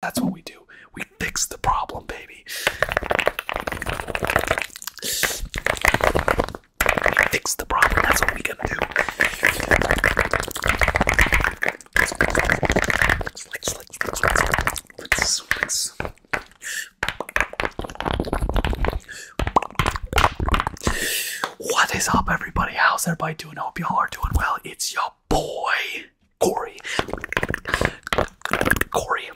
That's what we do. We fix the problem, baby. We fix the problem. That's what we gonna do. is up, everybody? How's everybody doing? I hope y'all are doing well. It's your boy Corey. Corey. Corey,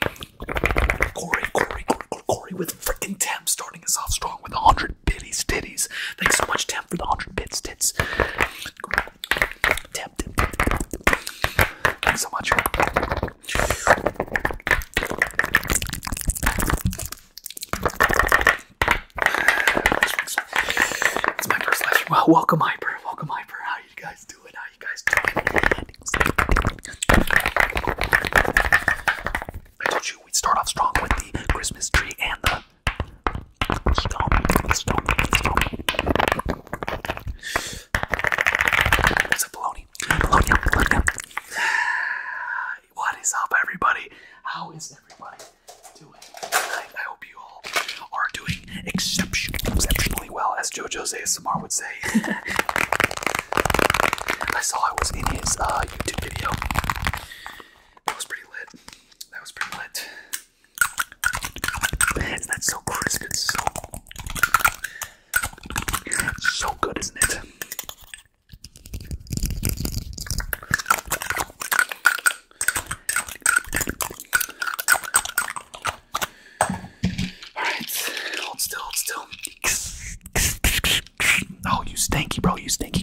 Corey, Corey, Corey with frickin' Tam starting us off strong with 100 bitties titties. Thanks so much, Tam, for the 100 bits tits. Tam, Thanks so much. It's my first live Well, welcome, Hyper. Welcome, Hyper. How you guys I told you we'd start off strong with the Christmas tree and the stone, stone, stone. What is up, everybody? How is everybody doing? I, I hope you all are doing exception exceptionally well, as JoJo's ASMR would say. I saw I was in his uh, YouTube video. That was pretty lit. That was pretty lit. Isn't so crisp? It's so, so good, isn't it? Alright, hold still, hold still. Oh, you stanky, bro, you stanky.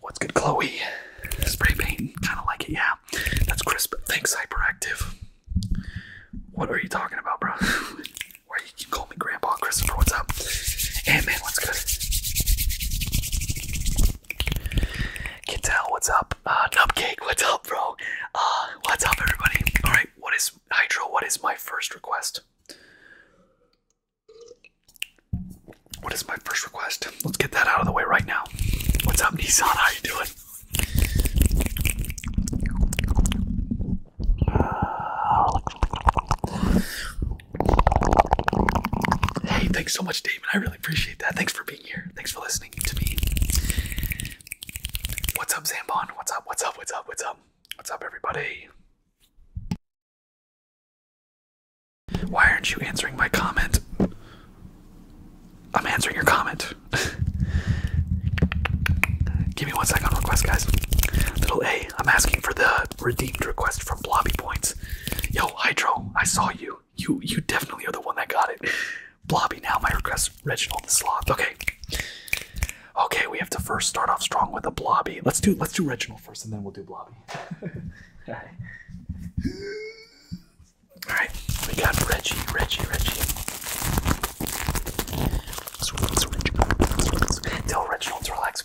What's good, Chloe? Spray paint, kind of like it, yeah. That's crisp. Thanks, hyperactive. What are you talking about, bro? or you can call me Grandpa Christopher. What's up? Hey, man, what's good? Kittel, what's up? Uh, Nubcake, what's up, bro? Uh, what's up, everybody? All right, what is Hydro? What is my first request? What is my first request? Let's get that out of the way right now. What's up, Nissan? How you doing? Hey, thanks so much, David. I really appreciate that. Thanks for being here. Thanks for listening to me. What's up, Zambon? What's up? What's up? What's up? What's up? What's up, everybody? Why aren't you answering my comment? I'm answering your comment. Give me one second request, guys. Little A, I'm asking for the redeemed request from Blobby Points. Yo, Hydro, I saw you. You you definitely are the one that got it. Blobby now, my request, Reginald the Sloth. Okay. Okay, we have to first start off strong with a Blobby. Let's do let's do Reginald first and then we'll do Blobby. Alright. we got Reggie, Reggie, Reggie. Tell Reggie to relax.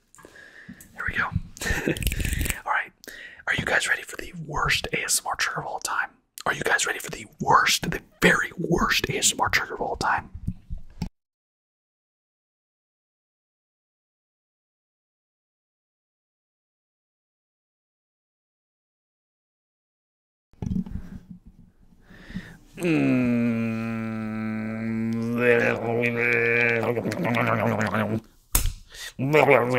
There we go. all right. Are you guys ready for the worst ASMR trigger of all time? Are you guys ready for the worst, the very worst ASMR trigger of all time? All right,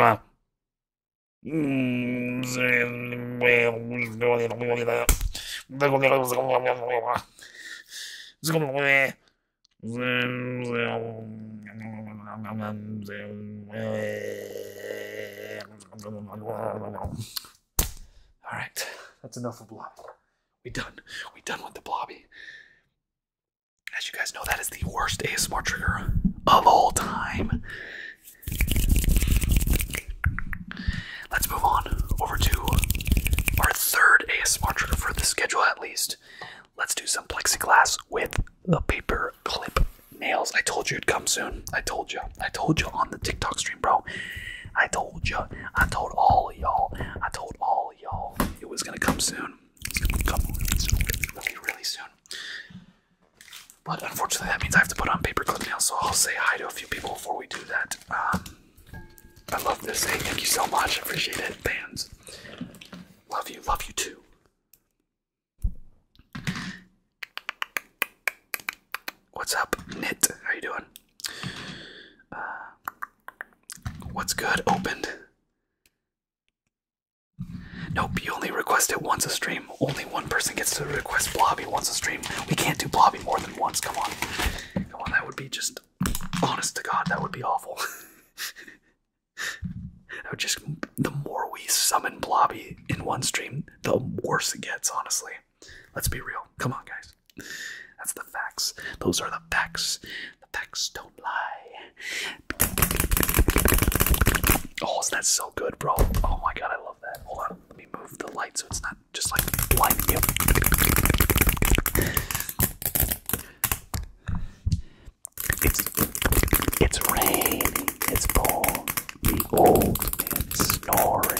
that's enough of Blob. We done. We done with the Blobby. As you guys know, that is the worst ASMR trigger of all time. Let's move on over to our third ASMR trigger for the schedule, at least. Let's do some plexiglass with the paper clip nails. I told you it'd come soon. I told you. I told you on the TikTok stream, bro. I told you. I told all y'all. I told all y'all it was gonna come soon. It's gonna be a couple minutes really, really soon. But unfortunately, that means I have to put on paperclip nails, so I'll say hi to a few people before we do that. Um, I love this. thing. thank you so much. appreciate it. Bands. Love you. Love you too. What's up, Knit? How you doing? Uh, what's good? Opened. Nope, you only request it once a stream. Only one person gets to request Blobby once a stream. We can't do Blobby more than once. Come on. Come on, that would be just. Honest to God, that would be awful. that would just. The more we summon Blobby in one stream, the worse it gets, honestly. Let's be real. Come on, guys. That's the facts. Those are the facts. The facts don't lie. Oh, so that's so good, bro. Oh my god, I love that. Hold on, let me move the light so it's not just like blinding you. It's raining, it's pouring, the old man snoring.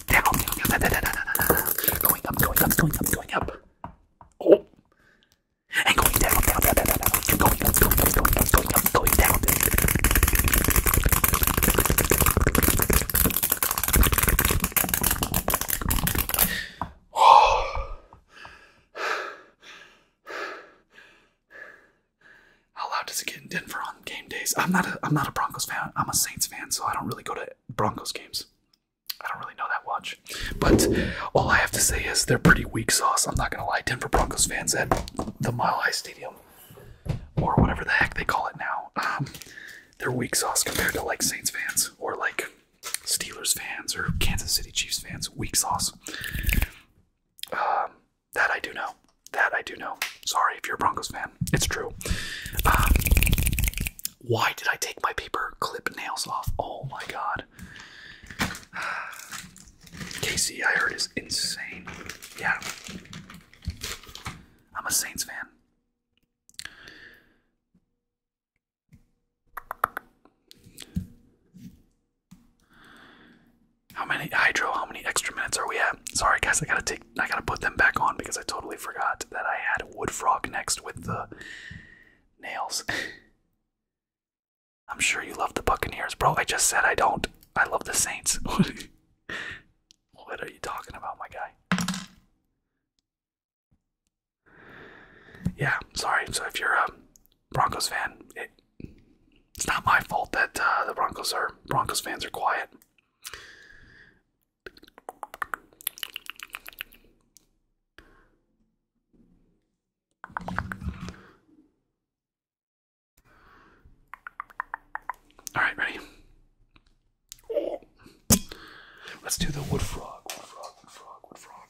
down, going up, going up, going up, going up. Oh, and going down, down, down, down, down, down. going up, going up, going up, going up, going down. How loud does it get in Denver? Um, game days. I'm not a I'm not a Broncos fan. I'm a Saints fan, so I don't really go to Broncos games. I don't really know that much. But all I have to say is they're pretty weak sauce. I'm not gonna lie. Denver Broncos fans at the Mile High Stadium or whatever the heck they call it now. Um, they're weak sauce compared to like Saints fans or like Steelers fans or Kansas City Chiefs fans. Weak sauce. Um, that I do know. That I do know. Sorry if you're a Broncos fan. It's true. Um, why did I take my paper clip nails off? Oh my god. Casey, I heard, is insane. Yeah. I'm a Saints fan. How many hydro? How many extra minutes are we at? Sorry, guys, I gotta take. I gotta put them back on because I totally forgot that I had wood frog next with the nails. I'm sure you love the Buccaneers, bro. I just said I don't. I love the Saints. what are you talking about, my guy? Yeah, sorry. So if you're a Broncos fan, it's not my fault that uh, the Broncos are Broncos fans are quiet. All right, ready? Let's do the wood frog, wood frog, wood frog, wood frog.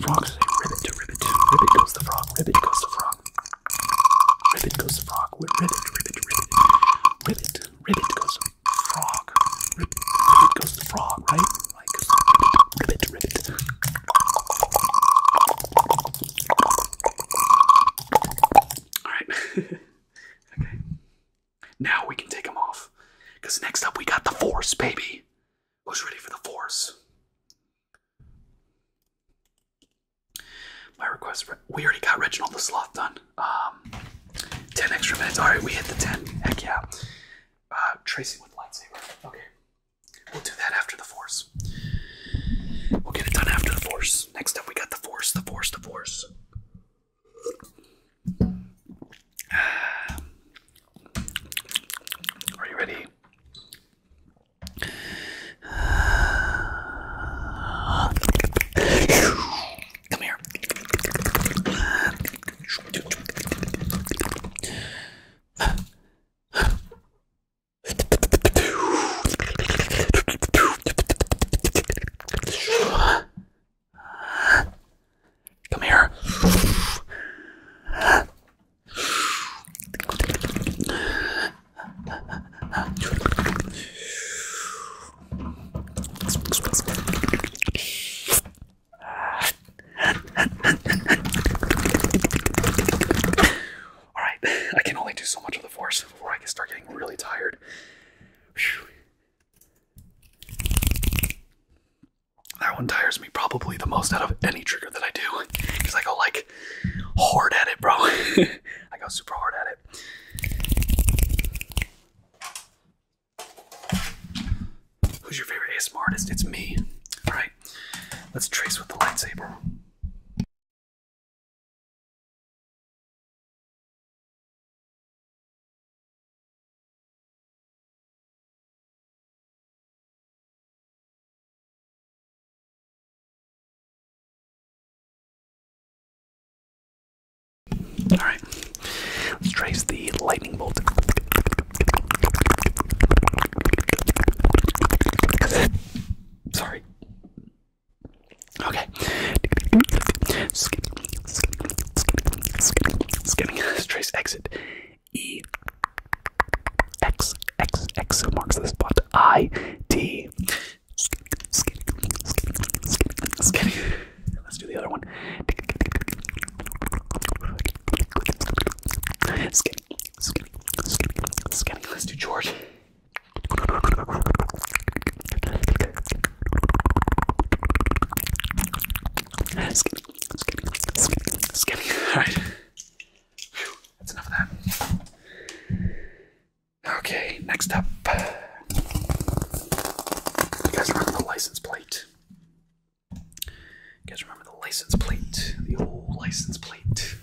Frog, say ribbit to ribbit. Ribbit goes the frog. Ribbit goes the frog. Ribbit goes the frog. Ribbit, ribbit, ribbit. Ribbit, ribbit goes the frog. Ribbit, ribbit goes the frog, right? Like ribbit, ribbit, ribbit. Alright. okay. Now we can take them off. Because next up we got the force, baby. Who's ready for the force? My request. We already got Reginald the Sloth done. Um, ten extra minutes. All right, we hit the ten. Heck yeah. Uh, tracing with lightsaber. Okay, we'll do that after the Force. We'll get it done after the Force. Next up, we got the Force. The Force. The Force. Are you ready? Come here. Come here. All right, I can only do so much of the force before I can start getting really tired. That one tires me probably the most out of any trigger that I do because I go like hard at it, bro. I go super hard at it. Who's your favorite ASMR artist? It's me. Alright, let's trace with the lightsaber. All right, let's trace the lightning bolt. Sorry. Okay. Skipping, skipping, skipping, skipping. Let's trace exit. E X X X marks the spot. I D. Skinny, skinny, skinny, skinny. Let's do the other one. Skinny, skinny, skinny, skinny. Let's do George. Skinny, skinny, skinny, skinny. All right that's enough of that. Okay, next up. You guys remember the license plate? You guys remember the license plate? The old license plate.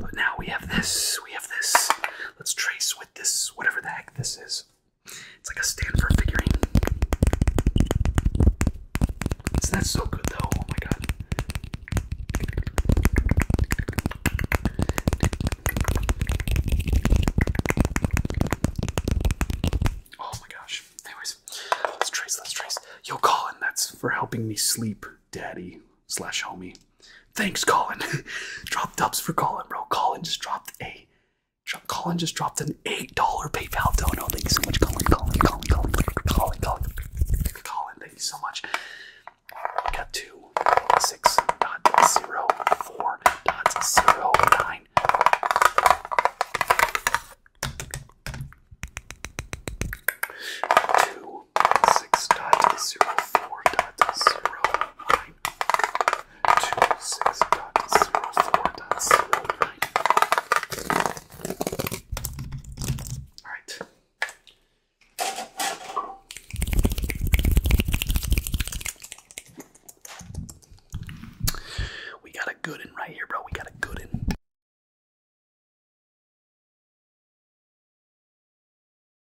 But now we have this, we have this. Let's trace with this, whatever the heck this is. It's like a Stanford figurine. Isn't so good though? Oh my god. Oh my gosh. Anyways, let's trace, let's trace. Yo, Colin, that's for helping me sleep, daddy slash homie. Thanks, Colin. drop dubs for Colin, bro. Colin just dropped a Colin just dropped an $8 PayPal dono. Thank you so much, Colin. Colin, Colin, Colin, Colin, Colin. Colin, thank you so much. We got two six dot zero four dot zero nine. Two six dot zero four dot zero Alright. We got a good one right here, bro. We got a good one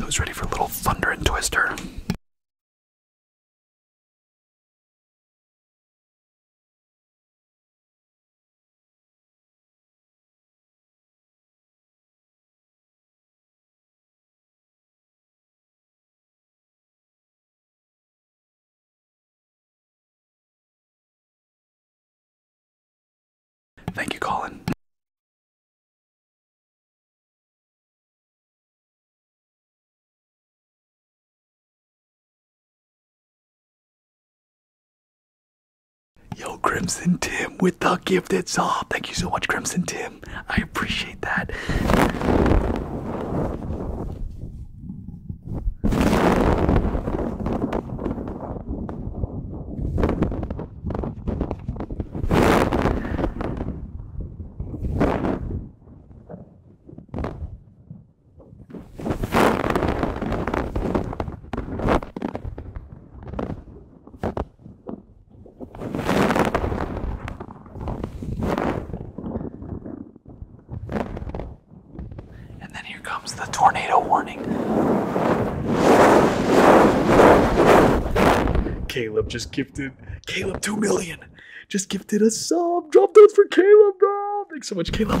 Who's ready for a little thunder and twister? Thank you, Colin. Yo, Crimson Tim with the gifted sub. Thank you so much, Crimson Tim. I appreciate that. And then here comes the tornado warning. Caleb just gifted Caleb 2 million. Just gifted a sub. Drop those for Caleb, bro. Thanks so much, Caleb.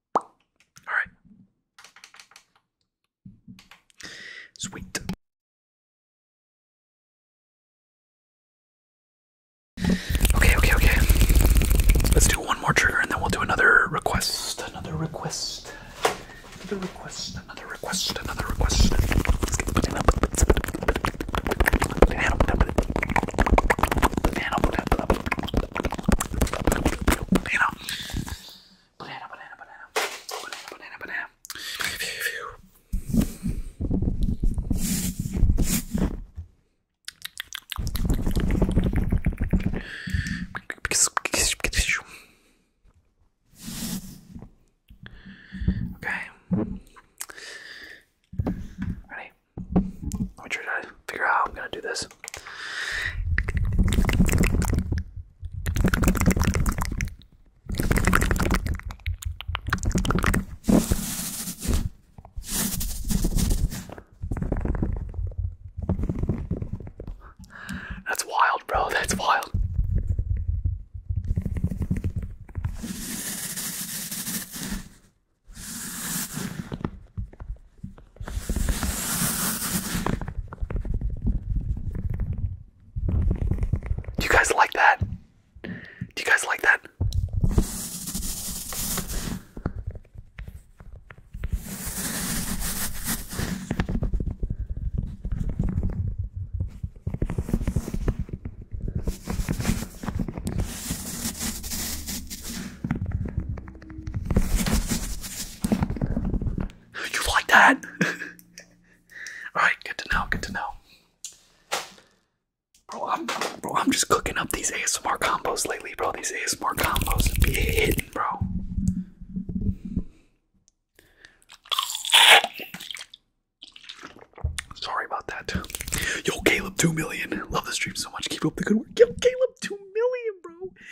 All right. Sweet. Okay, okay, okay. Let's do one more trigger and then we'll do another request. Another request. Another request. Another request. Another request. Banana, banana, banana. Banana, banana, banana. Okay. Ready? Let me try to figure out how I'm gonna do this. Yes. That's wild, bro. That's wild. Do you guys like that? Do you guys like that? You like that? Alright, good to know, good to know. Bro I'm, bro, I'm just cooking up these ASMR combos lately, bro. These ASMR combos be hitting, bro. Sorry about that. Yo, Caleb, 2 million. Love the stream so much. Keep up the good work. Yo, Caleb, 2 million, bro.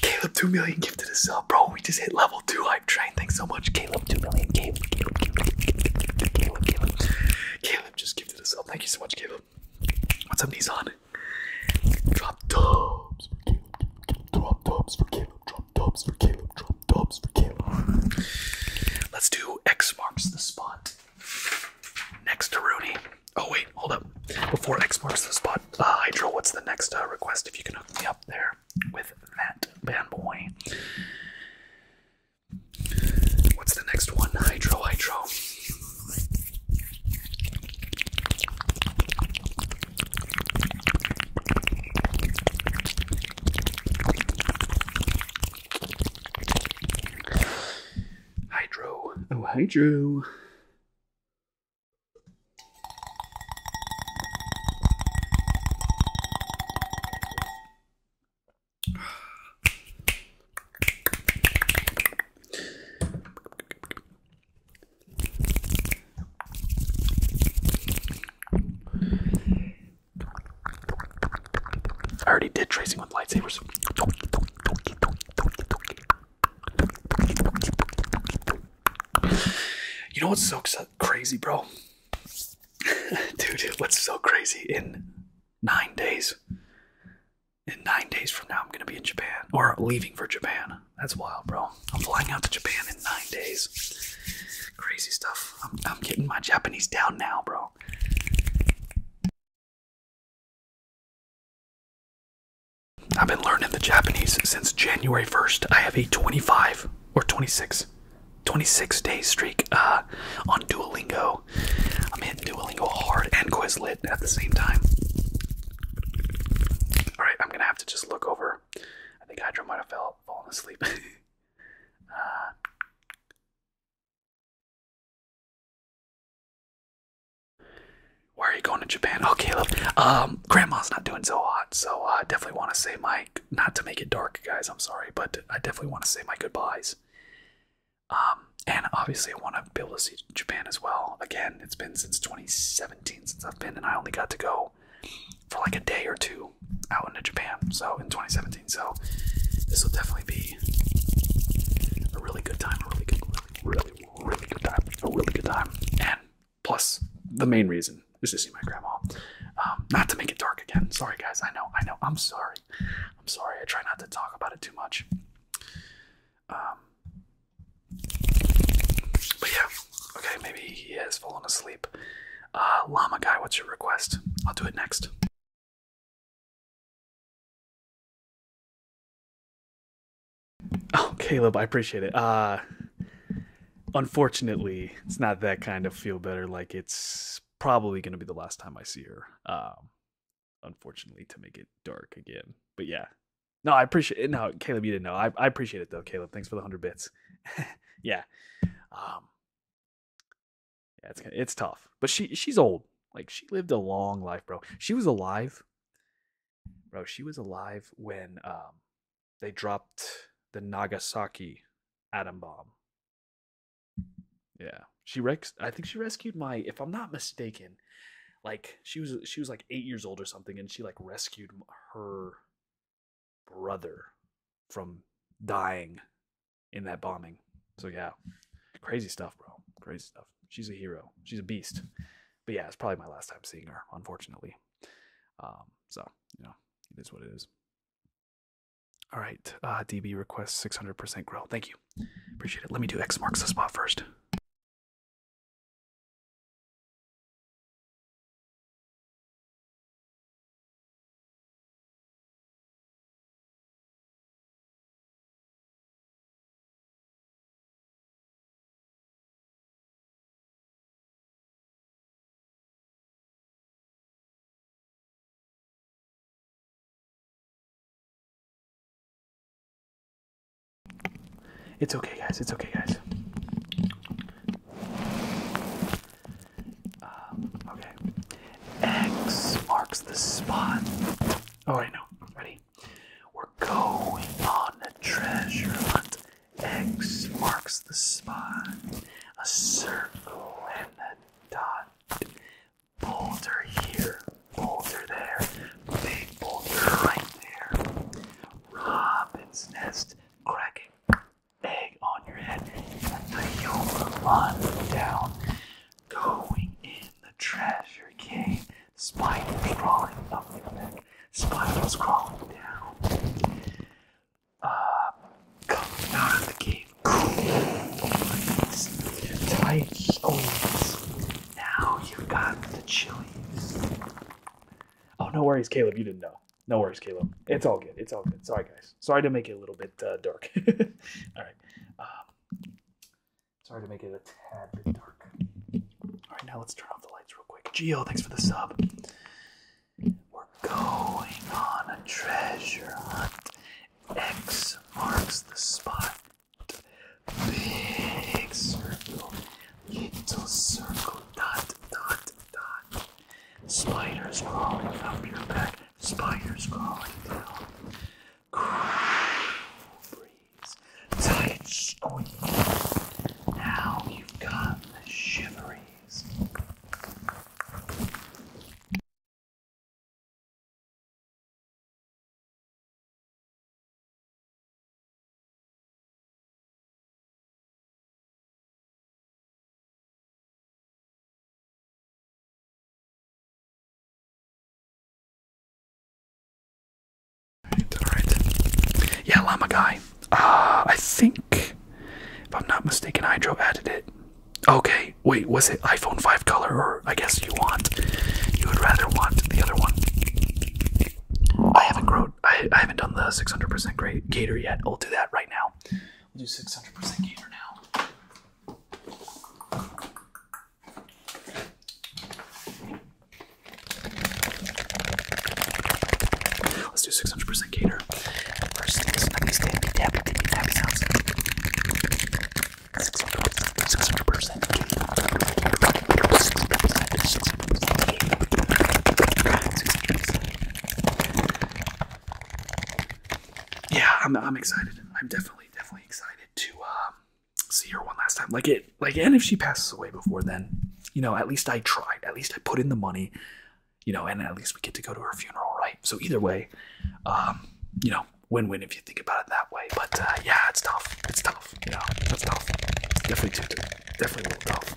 Caleb, 2 million to the sub. Bro, we just hit level 2 i hype trained. Thanks so much, Caleb. 2 million. Caleb, Caleb, Caleb, Caleb, Caleb, Caleb. just gifted a sub. Thank you so much, Caleb. What's up, Nissan? Drop dubs for Caleb. Drop dubs for Caleb. Drop dubs for Caleb. Drop dubs for Caleb. Let's do X marks the spot next to Rooney. Oh wait, hold up. Before X marks the spot, uh, Hydro, what's the next uh, request? If you can hook me up there with that bad boy. What's the next one? Hydro. Hydro. Oh, Hydro. I already did tracing with lightsabers. You know what's so uh, crazy, bro? Dude, what's so crazy? In nine days, in nine days from now, I'm gonna be in Japan or leaving for Japan. That's wild, bro. I'm flying out to Japan in nine days. Crazy stuff. I'm, I'm getting my Japanese down now, bro. I've been learning the Japanese since January 1st. I have a 25 or 26, 26 day streak uh, on Duolingo. I'm hitting Duolingo hard and Quizlet at the same time. All right, I'm gonna have to just look over. I think Hydra might have fell, fallen asleep. Uh, why are you going to Japan? Oh, Caleb. Um, grandma's not doing so hot, so I definitely want to say my not to make it dark, guys. I'm sorry, but I definitely want to say my goodbyes. Um, and obviously, I want to be able to see Japan as well. Again, it's been since 2017 since I've been, and I only got to go for like a day or two out into Japan. So in 2017, so this will definitely be a really good time, a really good, really, really, a really good time, a really good time. And plus, the main reason is to see my grandma. Um, not to make it dark again. Sorry, guys. I know, I know. I'm sorry. I'm sorry. I try not to talk about it too much. Um, but yeah, okay. Maybe he has fallen asleep. Uh, Llama guy, what's your request? I'll do it next. Oh, Caleb, I appreciate it. Uh unfortunately, it's not that kind of feel better. Like it's probably going to be the last time I see her. Um, unfortunately, to make it dark again. But yeah, no, I appreciate it. No, Caleb, you didn't know. I, I appreciate it though, Caleb. Thanks for the hundred bits. yeah, um, yeah, it's it's tough, but she she's old. Like she lived a long life, bro. She was alive bro, she was alive when um, they dropped the Nagasaki atom bomb. Yeah, she rex. I think she rescued my. If I'm not mistaken, like she was she was like eight years old or something, and she like rescued her brother from dying in that bombing. So yeah, crazy stuff, bro. Crazy stuff. She's a hero. She's a beast but yeah, it's probably my last time seeing her, unfortunately. Um, so you know, it is what it is. All right, DB request 600% grow. Thank you, appreciate it. Let me do X marks the spot first. It's okay, guys. It's okay, guys. Um, okay. X marks the spot. Oh, I know. Ready? We're going on a treasure hunt. X marks the spot. A circle and a dot. Boulder here, boulder there. Big boulder right there. Robin's nest cracking. Egg on your head. Let the yolk run down. Going in the treasure cave. Spiders crawling up the neck. Spiders crawling down. Uh, coming out of the cave. Oh Now you've got the chilies. Oh, no worries, Caleb. You didn't know. No worries, Caleb. It's all good. It's all good. Sorry, guys. Sorry to make it a little bit uh, dark. all right. Um, sorry to make it a tad bit dark. All right, now let's turn off the lights real quick. Geo, thanks for the sub. We're going on a treasure hunt. X marks the spot. Big circle, little circle, dot, dot, dot. Spiders crawling up your back, spiders crawling down tight squeeze. Now you've got the shiveries. Yeah, Llama Guy. Uh, I think, if I'm not mistaken, Hydro added it. Okay, wait, was it iPhone 5 color? Or I guess you want, you would rather want the other one. I haven't grown, I, haven't done the 600% great gator yet. i will do that right now. We'll do 600% gator now. Let's do 600% cater. First things, things tappy tappy tappy tappy sounds. 600% cater. 600 Yeah, I'm, I'm excited. I'm definitely, definitely excited to um, see her one last time. Like it, like and if she passes away before then you know at least i tried at least i put in the money you know and at least we get to go to her funeral right so either way um you know win-win if you think about it that way but uh, yeah it's tough it's tough you know that's tough it's definitely too, too definitely a tough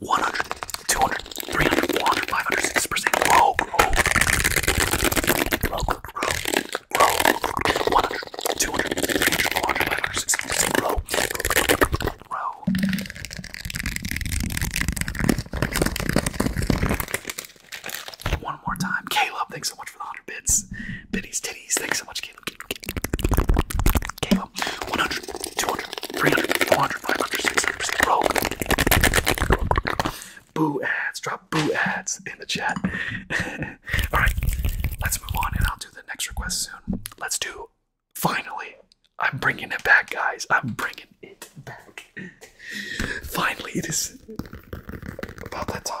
100, 200, 300, 400, 500, 6%. Grow, grow. Grow, grow, grow. Grow, 100, 200, 300, 400, 500, 600. Grow, grow. One more time. Caleb, thanks so much for the 100 bits. Biddies, titties, thanks so much, Caleb. 100, 200, 300, 400, 500, 600, 600 Boo ads, drop boo ads in the chat. Alright, let's move on and I'll do the next request soon. Let's do, finally, I'm bringing it back, guys. I'm bringing it back. Finally, it is about that time.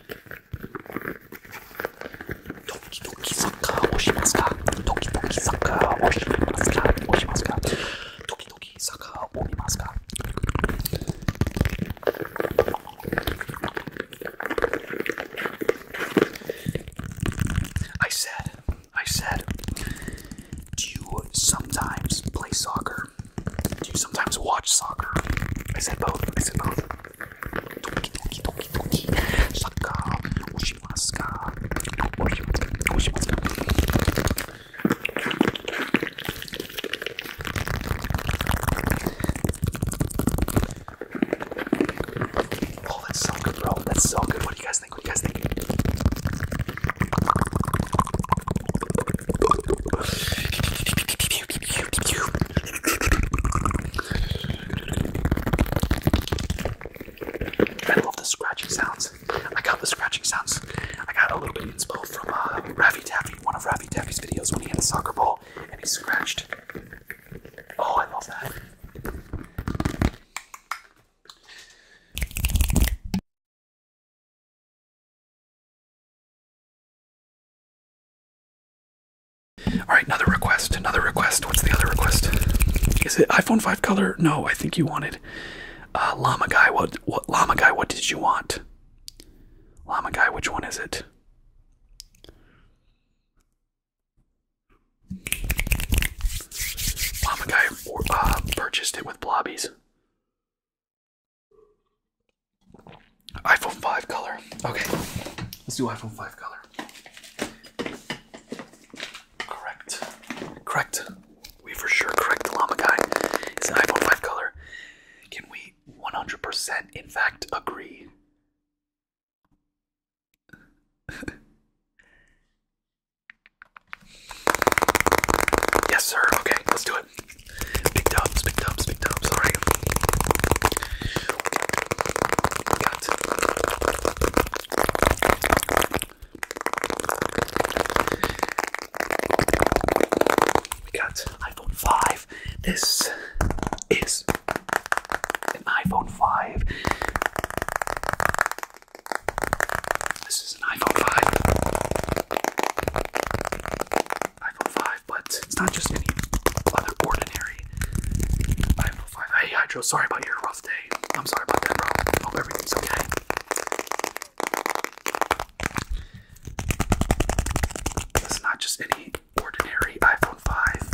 時々サッカーをしますか時々サッカーをしますかをしますか時々サッカーを見ますか？I said, I said, do you sometimes play soccer? Do you sometimes watch soccer? I said both. I said both. Doki doki doki doki. Soccer. Oshimaska. Oshimaska. Oshimaska. Oh, that's so good, bro. That's so good. What do you guys think? What do you guys think? I love the scratching sounds. I got the scratching sounds. I got a little bit of inspo from uh, Ravi Taffy, one of Ravi Taffy's videos when he had a soccer ball and he scratched. Oh, I love that. All right, another request. Another request. What's the other request? Is it iPhone 5 color? No, I think you wanted uh, Llama guy. What? What? Llama guy. What did you want? Llama guy. Which one is it? Llama guy uh, purchased it with blobbies iPhone 5 color. Okay, let's do iPhone 5 color. Correct. Correct. We for sure correct the llama guy. It's an iPhone 5 color. Can we 100% in fact agree? yes, sir. Okay, let's do it. Big tubs, big tubs, big tubs. All right. We got we got iPhone five. This is an iPhone five. This is an iPhone 5 iPhone 5, but it's not just any ordinary iPhone 5. Hey, Hydro, sorry about your rough day. I'm sorry about that, bro. Hope everything's okay. It's not just any ordinary iPhone 5,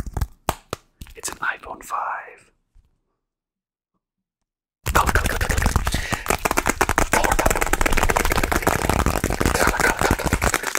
it's an iPhone 5. Color, color, color, color. Color, color. Color, color, color.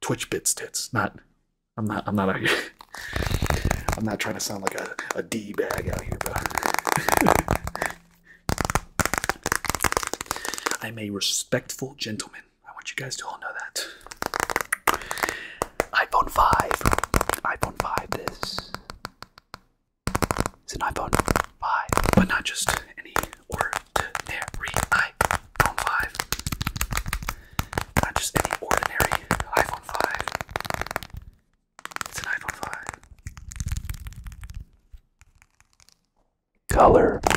Twitch bits tits. Not I'm not I'm not I'm not trying to sound like a, a D bag out here, but I'm a respectful gentleman. I want you guys to all know that. iPhone 5. iPhone 5 this. It's an iPhone 5, but not just any ordinary iPhone 5. Not just any ordinary iPhone 5. It's an iPhone 5. Color.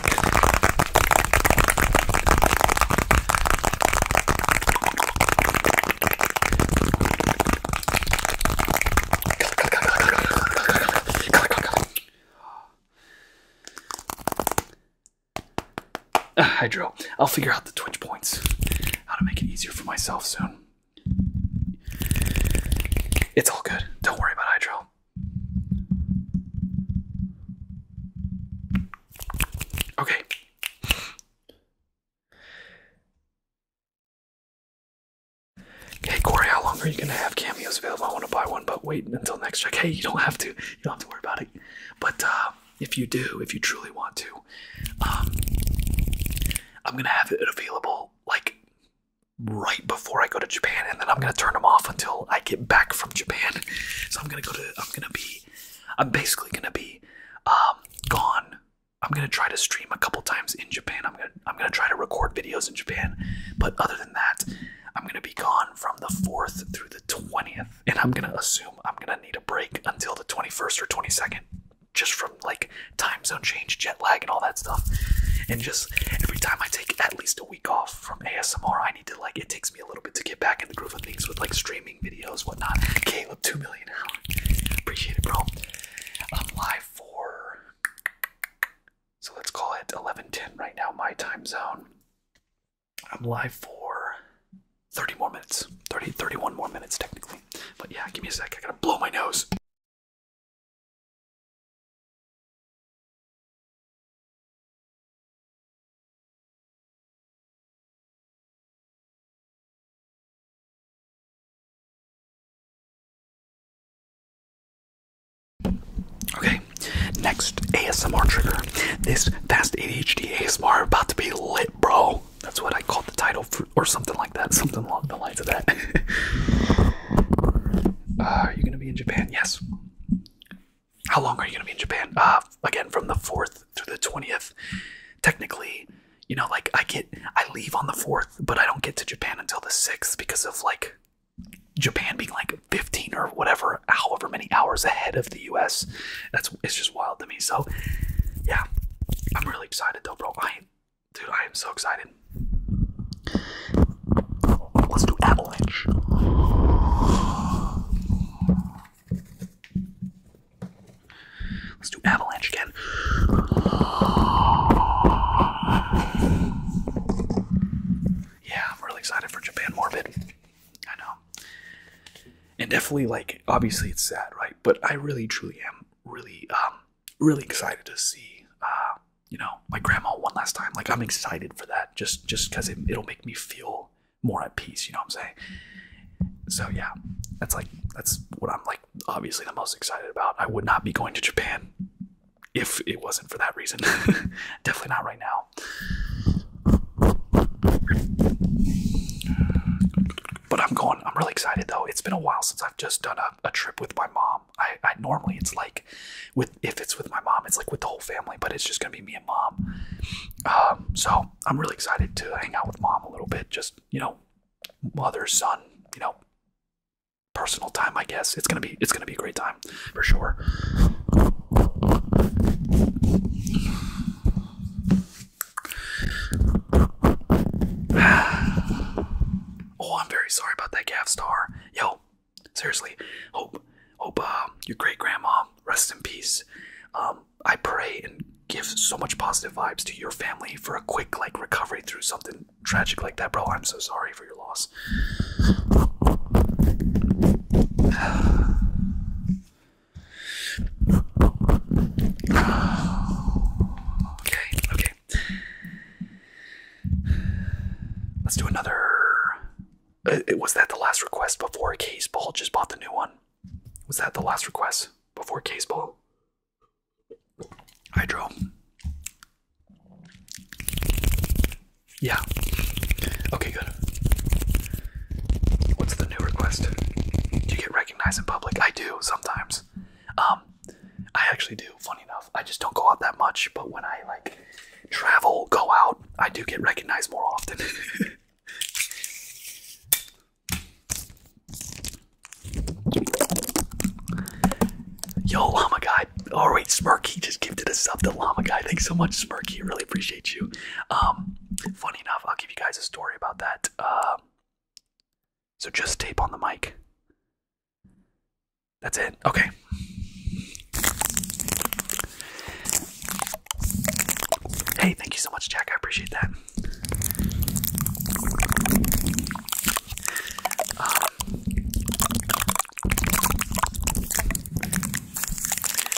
Uh, ah, hydro. I'll figure out the twitch points. How to make it easier for myself soon. It's all good. Don't worry about Hydro. Okay. Hey Corey, how long are you gonna have cameos available? I want to buy one, but wait until next check. Hey, you don't have to you don't have to worry about it. But uh, if you do, if you truly want to, um, I'm gonna have it available like right before I go to Japan, and then I'm gonna turn them off until I get back from Japan. So I'm gonna go to. I'm gonna be. I'm basically gonna be um, gone. I'm gonna try to stream a couple times in Japan. I'm gonna. I'm gonna try to record videos in Japan. But other than that, I'm gonna be gone from the fourth through the 20th, and I'm gonna assume I'm gonna need a break until the 21st or 22nd, just from like time zone change, jet lag, and all that stuff. And just every time I take at least a week off from ASMR, I need to like it takes me a little bit to get back in the groove of things with like streaming videos, whatnot. Caleb, two million hours. Appreciate it, bro. I'm live for so let's call it 11:10 right now, my time zone. I'm live for 30 more minutes. 30, 31 more minutes, technically. But yeah, give me a sec. I gotta blow my nose. Okay, next ASMR trigger. This fast ADHD ASMR about to be lit, bro. That's what I called the title, or something like that, something along the lines of that. Uh, are you gonna be in Japan? Yes. How long are you gonna be in Japan? Uh, again, from the fourth through the twentieth. Technically, you know, like I get, I leave on the fourth, but I don't get to Japan until the sixth because of like Japan being like 15 or whatever, however many hours ahead of the US. That's it's just wild to me. So yeah, I'm really excited though, bro. I dude, I am so excited. Let's do avalanche. Let's do avalanche again. Yeah, I'm really excited for Japan Morbid. I know and definitely like obviously it's sad right but i really truly am really um really excited to see uh you know my grandma one last time like i'm excited for that just just because it'll make me feel more at peace you know what i'm saying so yeah that's like that's what i'm like obviously the most excited about i would not be going to japan if it wasn't for that reason definitely not right now but I'm going. I'm really excited though. It's been a while since I've just done a, a trip with my mom. I, I normally it's like with if it's with my mom, it's like with the whole family. But it's just gonna be me and mom. Um, so I'm really excited to hang out with mom a little bit. Just you know, mother son. You know, personal time. I guess it's gonna be it's gonna be a great time for sure. oh, I'm very sorry about that, Gav Star. Yo, seriously, hope hope um, your great grandma rests in peace. Um, I pray and give so much positive vibes to your family for a quick like recovery through something tragic like that, bro. I'm so sorry for your loss. Okay, okay. Let's do another. Uh, was that the last request before Case Ball just bought the new one? Was that the last request before Case Ball? Hydro. Yeah. Okay, good. What's the new request? Do you get recognized in public? I do sometimes. Um, I actually do. Funny enough, I just don't go out that much. But when I like travel, go out, I do get recognized more often. Yo, Llama Guy. Oh, wait, Smirky just gifted a sub to Llama Guy. Thanks so much, Smirky. Really appreciate you. Um, funny enough, I'll give you guys a story about that. Um, so just tape on the mic. That's it. Okay. Hey, thank you so much, Jack. I appreciate that. Um,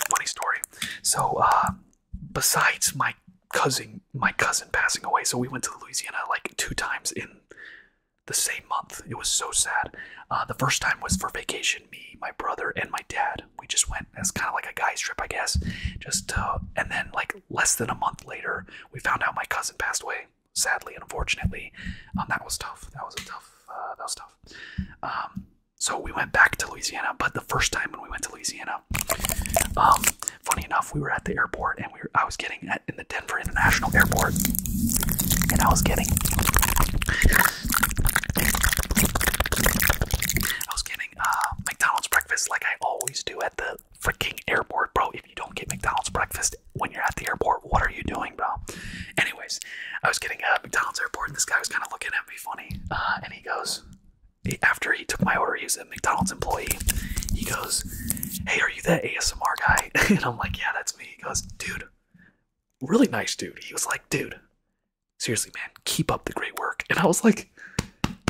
funny story. So uh, besides my cousin, my cousin passing away, so we went to Louisiana like two times in the same month. It was so sad. Uh, the first time was for vacation. Me, my brother, and my dad. We just went as kind of like a guy's trip, I guess. Just uh, and then like less than a month later, we found out my cousin passed away. Sadly and unfortunately, um, that was tough. That was tough. that was tough. Um, so we went back to Louisiana. But the first time when we went to Louisiana, um, funny enough, we were at the airport and we were, I was getting in the Denver International Airport, and I was getting. I was getting uh, McDonald's breakfast like I always do at the freaking airport, bro. If you don't get McDonald's breakfast when you're at the airport, what are you doing, bro? Anyways, I was getting at McDonald's airport, and this guy was kind of looking at me be funny. Uh, and he goes, after he took my order, he a McDonald's employee. He goes, hey, are you that ASMR guy? and I'm like, yeah, that's me. He goes, dude, really nice dude. He was like, dude, seriously, man, keep up the great work. And I was like,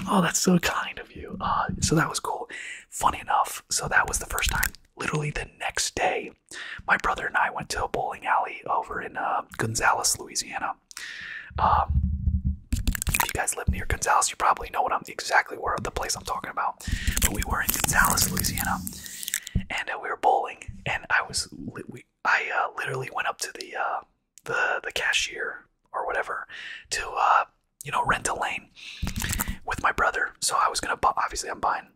oh, that's so kind of you. Uh, so that was cool. Funny enough, so that was the first time. Literally the next day, my brother and I went to a bowling alley over in uh, Gonzales, Louisiana. Um, if you guys live near Gonzales, you probably know what I'm exactly where the place I'm talking about. But we were in Gonzales, Louisiana, and uh, we were bowling, and I was I uh, literally went up to uh, the the cashier or whatever to you know rent a lane with my brother. So I was gonna obviously I'm buying,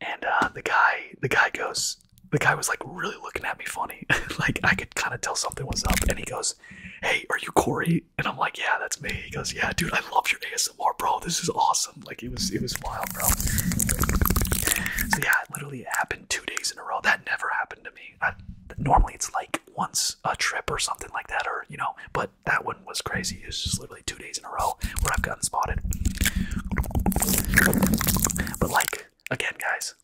and the guy the guy goes the guy was like really looking at me funny. like I could kind of tell something was up. And he goes, Hey, are you Corey? And I'm like, Yeah, that's me. He goes, Yeah, dude, I love your ASMR, bro. This is awesome. Like it was it was wild, bro. So yeah, literally happened two days in a row. That never happened to me. normally it's like once a trip or something like that, or you know, but that one was crazy. It was just literally two days in a row where I've gotten spotted. But like Again, guys.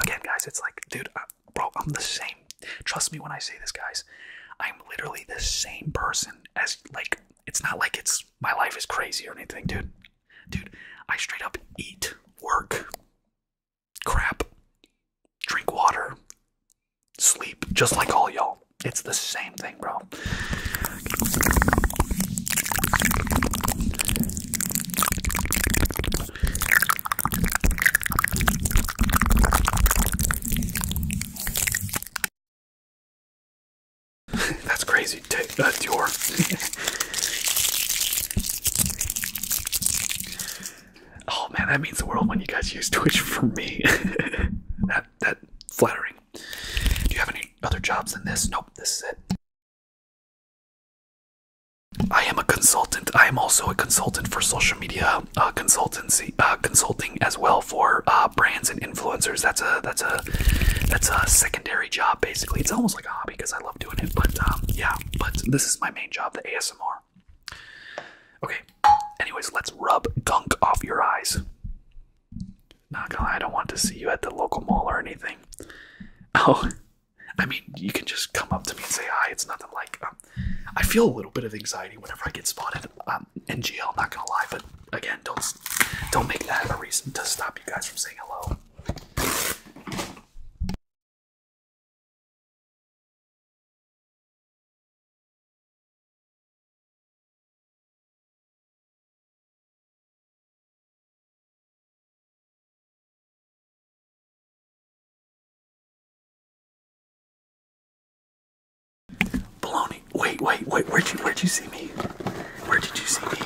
Again, guys, it's like, dude, uh, bro, I'm the same. Trust me when I say this, guys. I'm literally the same person as, like, it's not like it's my life is crazy or anything, dude. Dude, I straight up eat, work, crap, drink water, sleep, just like all y'all. It's the same thing, bro. That's crazy. Take that, Dior. oh man, that means the world when you guys use Twitch for me. that flattering. Do you have any other jobs than this? Nope, this is it. I am a consultant. I am also a consultant for social media uh, consultancy, uh, consulting as well for uh, brands and influencers. That's a that's a that's a secondary job basically. It's almost like a hobby because I love doing it. But um, yeah, but this is my main job, the ASMR. Okay. Anyways, let's rub gunk off your eyes. Not gonna lie, I don't want to see you at the local mall or anything. Oh, I mean, you can just come up to me and say hi. It's nothing like. Um, I feel a little bit of anxiety whenever I get spotted. Um, NGL, not gonna lie, but again, don't don't make that a reason to stop you guys from saying hello. Baloney. Wait, wait, wait. Where'd you where'd you see me? Where did you see me?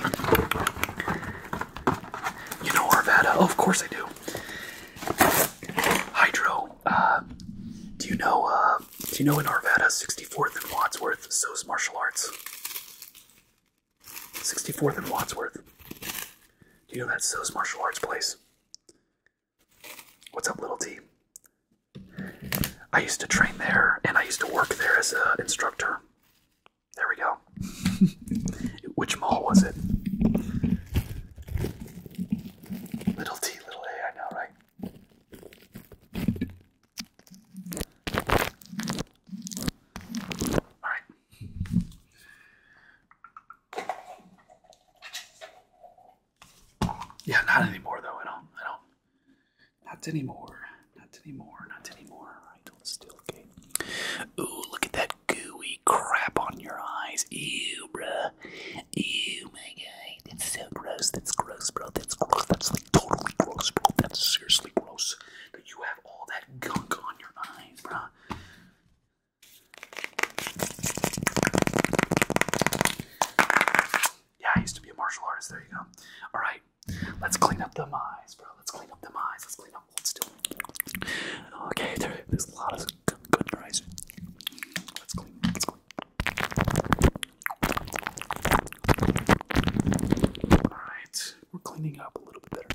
You know Arvada. of course I do. Hydro. Uh, do you know uh, do you know in Arvada, 64th and Wadsworth, so's martial arts? 64th and Wadsworth. Do you know that so's martial arts place? What's up, Little T? I used to train there, and I used to work there as an instructor. There we go. Which mall was it? Little T, little A, I know, right? Yeah, not anymore though. I don't. I don't. Not anymore. Not anymore. Not anymore. I don't still. Ooh, look at that gooey crap on your eyes. Ew, bruh. Ew, my God. That's so gross. That's gross, bro. That's gross. That's like totally gross, bro. That's seriously gross that you have all that gunk on your eyes, bro. Yeah, I used to be a martial artist. There you go. All right, let's clean up them eyes, bro. Let's clean up them eyes. Let's clean up. Let's do. Okay, there's a lot of gunk on Let's clean. Alright, we're cleaning up a little bit better.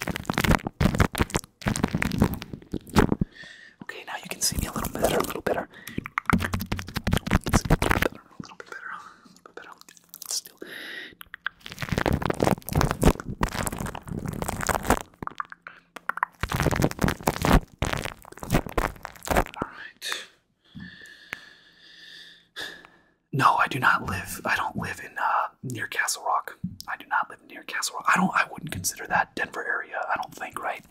Okay, now you can see me a little better, a little better. A little bit better, a little bit better, a little bit better. Still. All right. No, I do not live. I don't live in uh, near Castle Rock. I do not live near Castle Rock. I don't. I wouldn't consider that Denver area. I don't think. Right.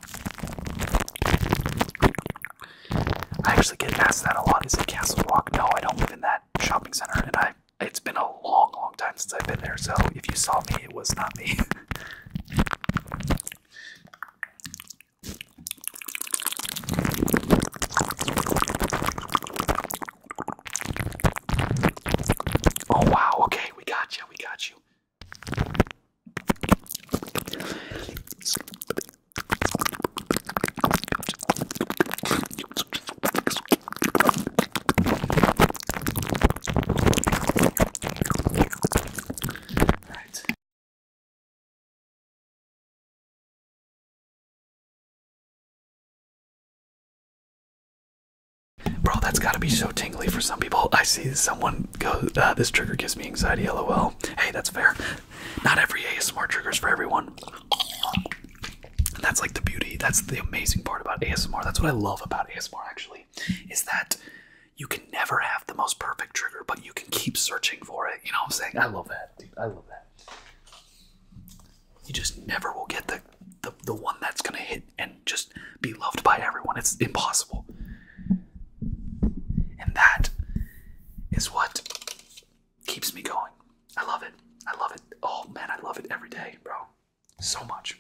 I actually get asked that a lot. Is it Castle Rock? No, I don't live in that shopping center, and I. It's been a long, long time since I've been there. So if you saw me, it was not me. Oh wow, okay, we got you, we got you. All right. Bro, that's gotta be so tingly for some people. I see someone go, uh, this trigger gives me anxiety, lol. Hey, that's fair. Not every ASMR trigger's for everyone. that's like the beauty, that's the amazing part about ASMR. That's what I love about ASMR, actually, is that you can never have the most perfect trigger, but you can keep searching for it. You know what I'm saying? I love that dude. I love that. You just never will get the the, the one that's gonna hit and just be loved by everyone. It's impossible. And that is what keeps me going. I love it. I love it. Oh man, I love it every day, bro. So much.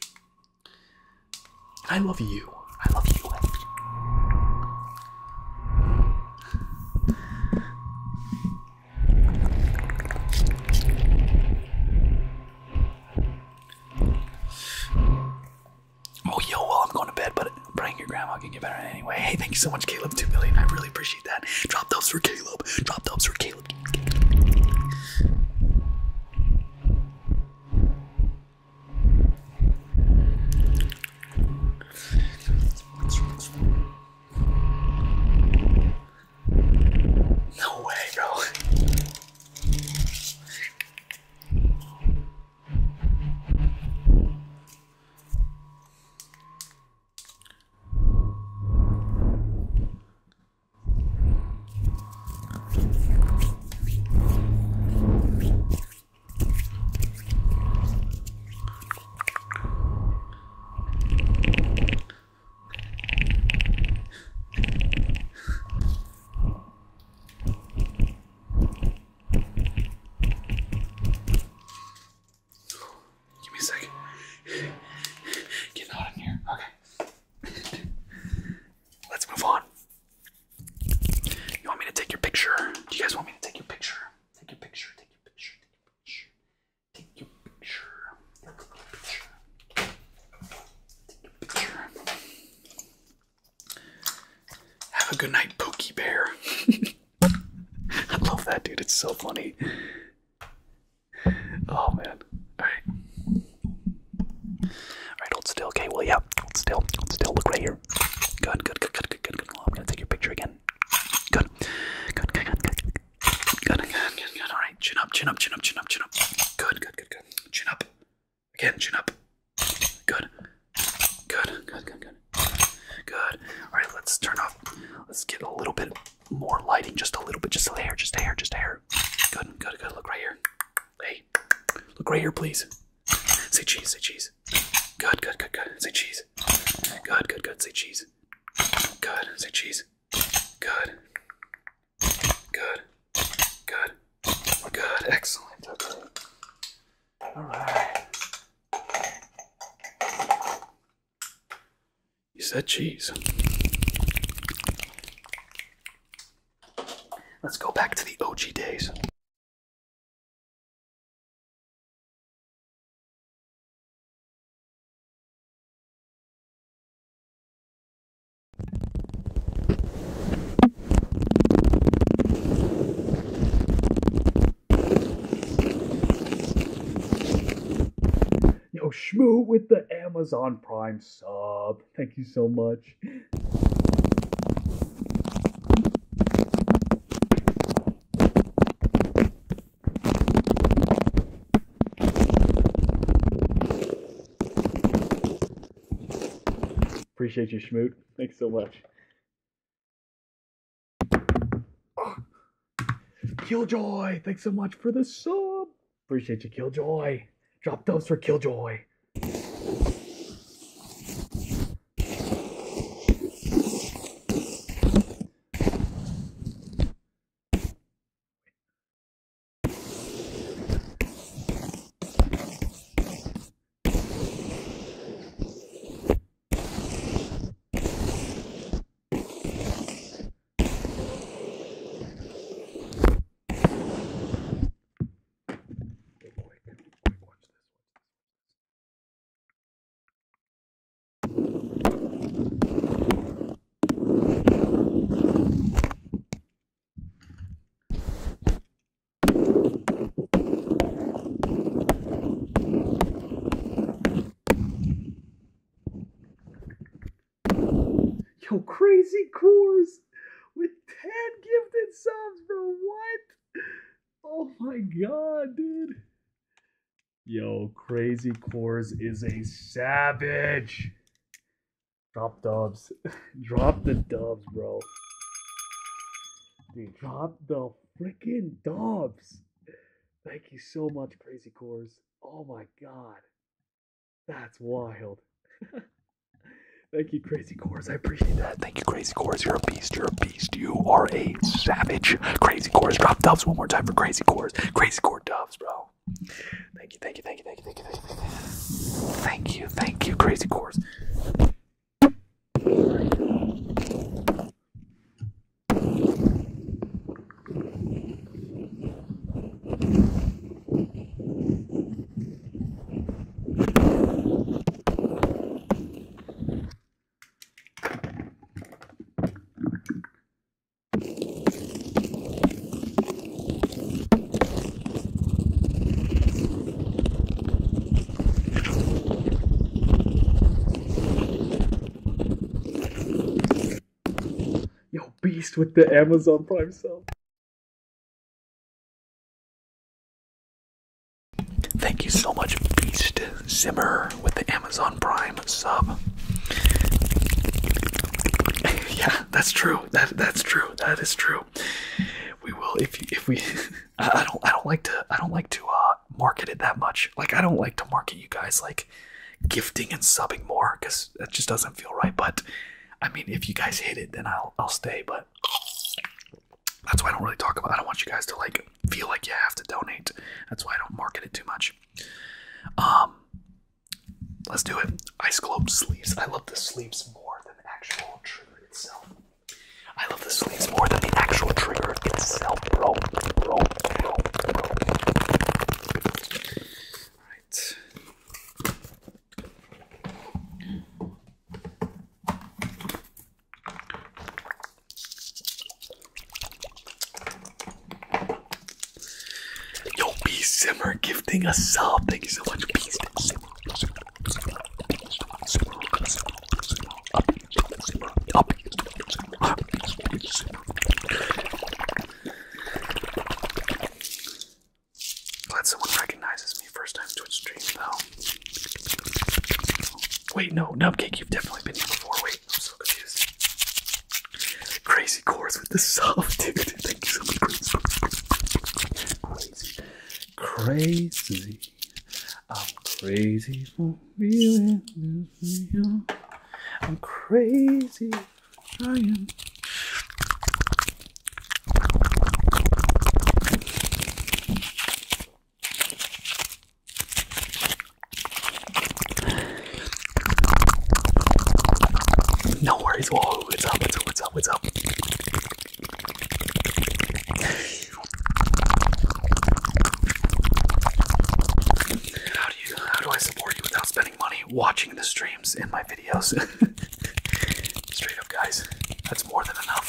I love you. I love you. Oh, yeah, well, I'm going to bed, but praying your grandma can get better anyway. Hey, thank you so much, Caleb. 2 million. I really appreciate that. Drop those for Caleb. Drop those for Caleb. No way, bro. Give me a second. Get out in here. Okay. Let's move on. You want me to take your picture? Do you guys want me to take your picture? Take your picture, take your picture, take your picture. Take your picture. Take your picture. Take your picture. Have a good night, Pokey Bear. I love that dude, it's so funny. Oh man. Alright. Alright, hold still, okay. Well yeah, hold still, hold still, look right here. Good, good, good, good, good, good, good. I'm gonna take your picture again. Good. Good. Good. Good. Good. Good. Good. Good. Good. Good. Good. All right. Chin up. Chin up. Chin up. Chin up. Chin up. Good. Good. Good. Good. Chin up. Again. Chin up. Good. Good. Good. Good. Good. Good. All right. Let's turn off. Let's get a little bit more lighting. Just a little bit. Just a hair. Just a hair. Just a hair. Good. Good. Good. Look right here. Hey. Look right here, please. Say cheese. Say cheese cheese. Good, good, good, good. Say cheese. Good, good, good. Say cheese. Good. Say cheese. Good. Good. Good. Good. Excellent. Okay. All right. You said cheese. Let's go back to the OG days. Yo, Shmoo with the Amazon Prime sub. Thank you so much. Appreciate you, Schmoot. Thanks so much. Oh, Killjoy, thanks so much for the sub. Appreciate you, Killjoy. Drop those for Killjoy. Hey boy, watch this. Yo, crazy cores with 10 gifted subs, bro. What? Oh my god, dude. Yo, Crazy Cores is a savage. Drop dubs. drop the dubs, bro. drop the freaking dubs. Thank you so much, Crazy Cores. Oh my god. That's wild. Thank you, Crazy Cores. I appreciate that. Thank you, Crazy Cores. You're a beast. You're a beast. You are a savage. Crazy chorus. Drop doves one more time for crazy chorus. Crazy core doves, bro. Thank you, thank you, thank you, thank you, thank you, thank you, thank you, thank you, crazy chorus. Yo, beast with the Amazon Prime sale. Thank you so much, Beast Zimmer, with the Amazon Prime sub. yeah, that's true. That that's true. That is true. We will if if we. I don't I don't like to I don't like to uh, market it that much. Like I don't like to market you guys like gifting and subbing more because that just doesn't feel right. But I mean, if you guys hit it, then I'll I'll stay. But that's why I don't really talk about. I don't want you guys to like feel like you have to donate. That's why I don't market it too much. Um, let's do it. Ice Globe sleeves. I love the sleeves more than actual trigger itself. I love the sleeves more than the actual trigger itself, bro. Yo, Beast Simmer gifting us sub. Thank you so much, Beast Glad someone recognizes me first time Twitch stream Wait, no, Nubcake, you've definitely been here before. Wait. I'm so confused. Crazy chords with the soft, dude. Thank you so much, Crazy. Crazy. Crazy. I'm crazy for feeling this real. I'm crazy for trying. No worries. Whoa, what's up? What's up? What's up? What's up? How do you? How do I support you without spending money watching the streams in my videos? Straight up, guys. That's more than enough.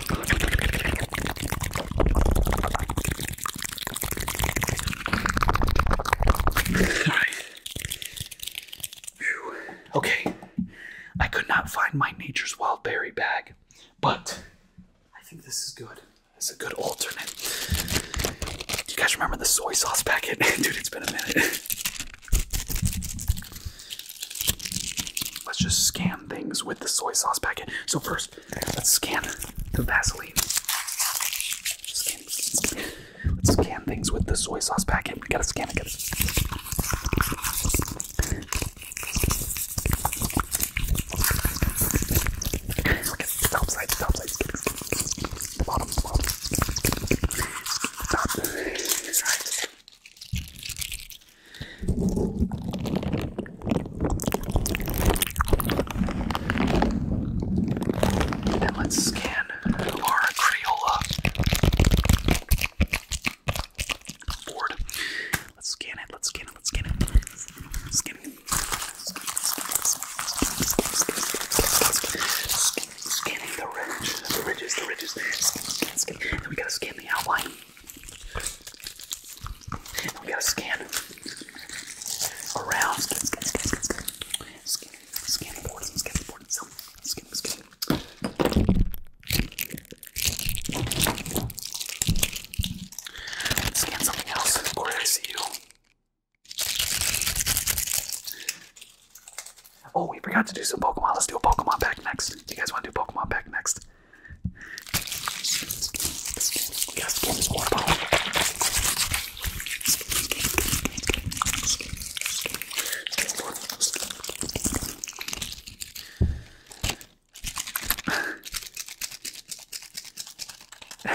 Okay, I could not find my nature's wild berry bag, but I think this is good. It's a good alternate. you guys remember the soy sauce packet? Dude, it's been a minute. Let's just scan things with the soy sauce packet. So first let let's scan the Vaseline. Let's scan things with the soy sauce packet. We gotta scan it. Gotta... And let's scan our Crayola board. Let's scan it, let's scan it, let's scan it. Scan it. Scanning the ridge, the ridges, the ridges. Scan, scan, scan. And we gotta scan the outline. And we gotta scan around. Scan, something else. Oh, we forgot to do some Pokemon. Let's do a Pokemon pack next. you guys want to do Pokemon pack next? Yes, give us more power.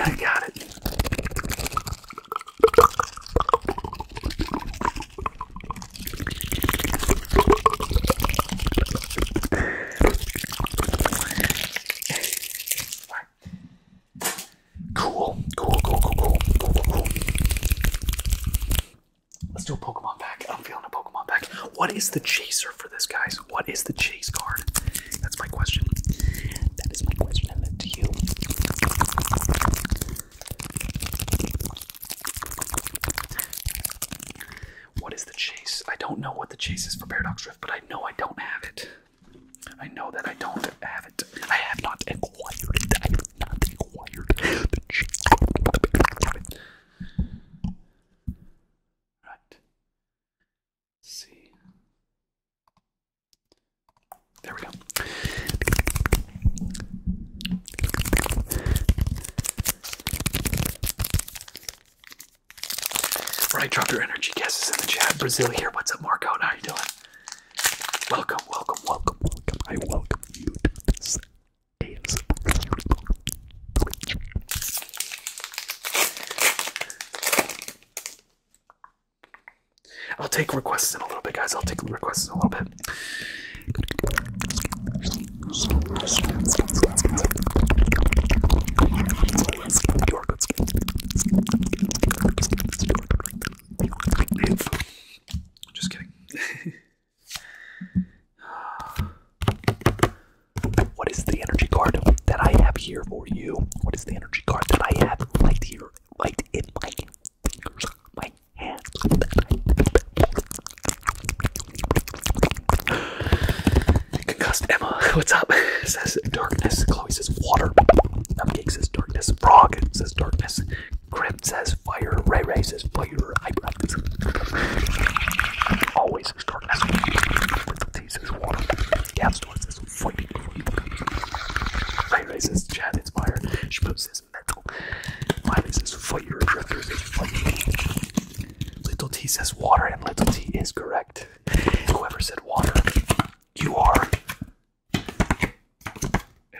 I got it. Cool, cool, cool, cool, cool, cool, cool. Let's do a Pokemon pack. I'm feeling a Pokemon pack. What is the chaser for this, guys? What is the chase card? That's my question. That is my question, and then to you. What is the chase? I don't know what the chase is for Paradox Rift, but I know I don't have it. I know that I don't have it. I have not acquired it. I have not acquired the chase. Right. see. There we go. Right, drop your energy guesses in the chat. Brazil here. What's up, Marco? How are you doing? Welcome, welcome, welcome, welcome. I welcome you I'll take requests in a little bit, guys. I'll take requests in a little bit. Just kidding. what is the energy card that I have here for you? What is the energy card that I have right here, right in my fingers, my hands? Concussed Emma, what's up? Says darkness. Chloe says water. Cupcake says darkness. Frog says darkness. Crypt says fire. Ray Ray says fire. Eyebrows. Always says darkness. Tea says water. Gab says fighting. Ray Ray says chat it's fire. Shmoop says mental. fire. says fire. Little T says water, and Little T is correct. Whoever said water, you are in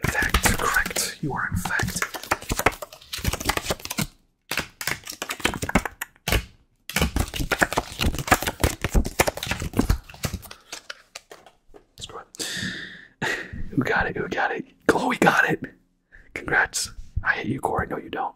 fact correct. You are in fact. Screw it. Who got it? Who got it? Chloe got it. Congrats. I hate you, Corey. No, you don't.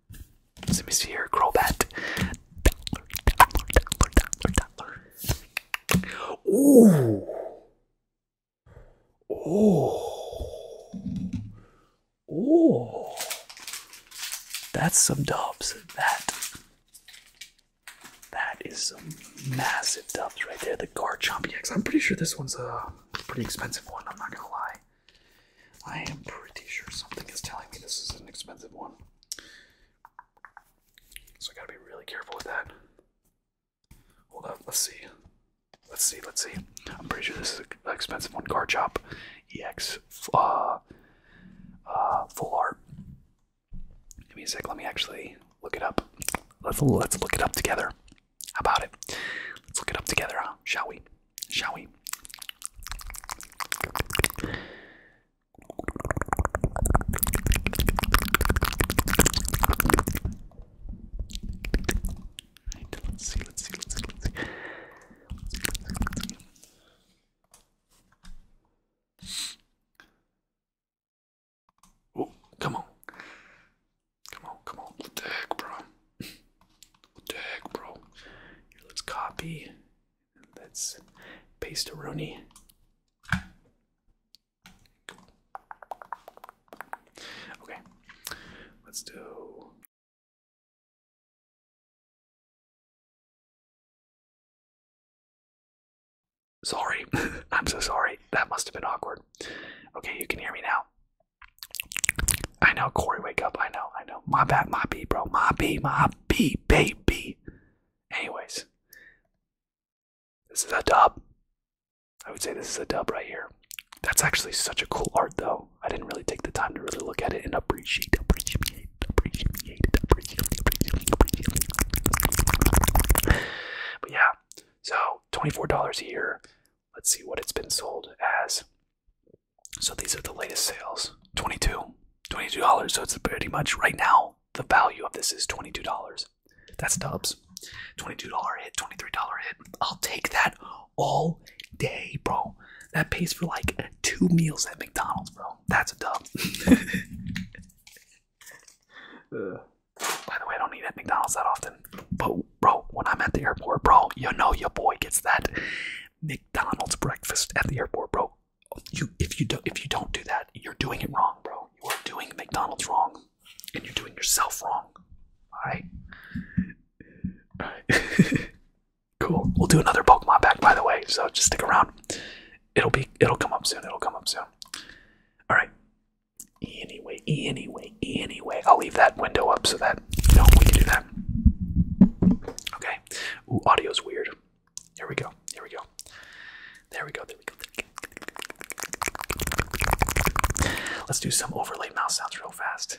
let me see here, Crobat. Ooh. Oh. Oh. That's some dubs. That. That is some massive dubs right there. The guard EX. I'm pretty sure this one's a pretty expensive one. I'm not gonna lie. I am pretty sure something is telling me this is an expensive one. So I gotta be really careful with that. Hold up, let's see. Let's see, let's see. I'm pretty sure this is an expensive one. Card Shop EX uh, uh, Full Art. Give me a sec, let me actually look it up. Let's, let's look it up together. How about it? Let's look it up together, huh? Shall we? Shall we? let's see, let's see, let's see, let's see. Let's see, let's see, Oh, come on. Come on, come on. What the heck, bro? What the heck, bro? let's copy. That's pastaroni. Okay, let's do. Sorry, I'm so sorry. That must have been awkward. Okay, you can hear me now. I know, Corey, wake up. I know, I know. My bad, my B, bro. My B, my B, baby key. Anyways, this is a dub. I would say this is a dub right here. That's actually such a cool art, though. I didn't really take the time to really look at it and appreciate, appreciate, appreciate, appreciate, appreciate, appreciate. But yeah, so $24 a year. Let's see what it's been sold as. So these are the latest sales. $22. $22. So it's pretty much right now, the value of this is $22. That's dubs. $22 hit, $23 hit. I'll take that all day, bro. That pays for like two meals at McDonald's, bro. That's a dub. By the way, I don't eat at McDonald's that often. But, bro, when I'm at the airport, bro, you know your boy gets that McDonald's breakfast at the airport, bro you if you do if you don't do that, you're doing it wrong, bro. You are doing McDonald's wrong, and you're doing yourself wrong. All right. All right. cool. We'll do another Pokemon pack, by the way. So just stick around. It'll be it'll come up soon. It'll come up soon. All right. Anyway, anyway, anyway, I'll leave that window up so that you know we can do that. Okay. Ooh, audio's weird. Here we go. Here we go. There we go. There we go. Let's do some overlay mouse sounds real fast.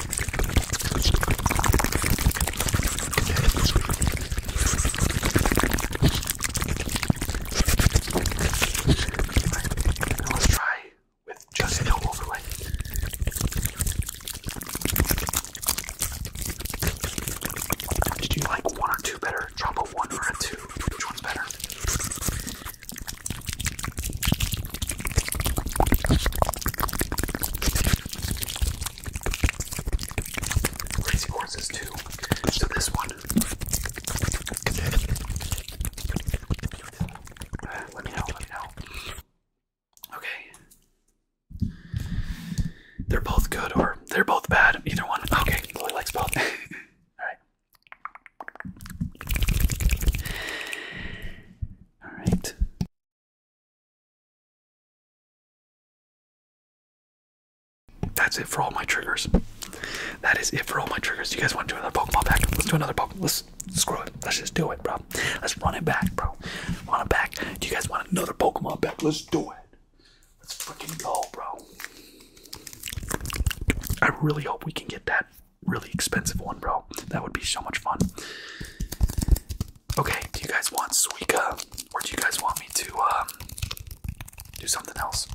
Let's try with just no overlay. Did you like one or two better? Drop a one or a two. Which one's better? Crazy horses too. So this one. let me know. Let me know. Okay. They're both good, or they're both bad. Either one. Okay. Lily likes both. All right. All right. That's it for all my triggers. That is it for all my triggers. You guys want to do another Pokemon pack? Let's do another Pokemon. Let's screw it. Let's just do it, bro. Let's run it back, bro. Run it back. Do you guys want another Pokemon pack? Let's do it. Let's freaking go, bro. I really hope we can get that really expensive one, bro. That would be so much fun. Okay, do you guys want Suica or do you guys want me to um, do something else?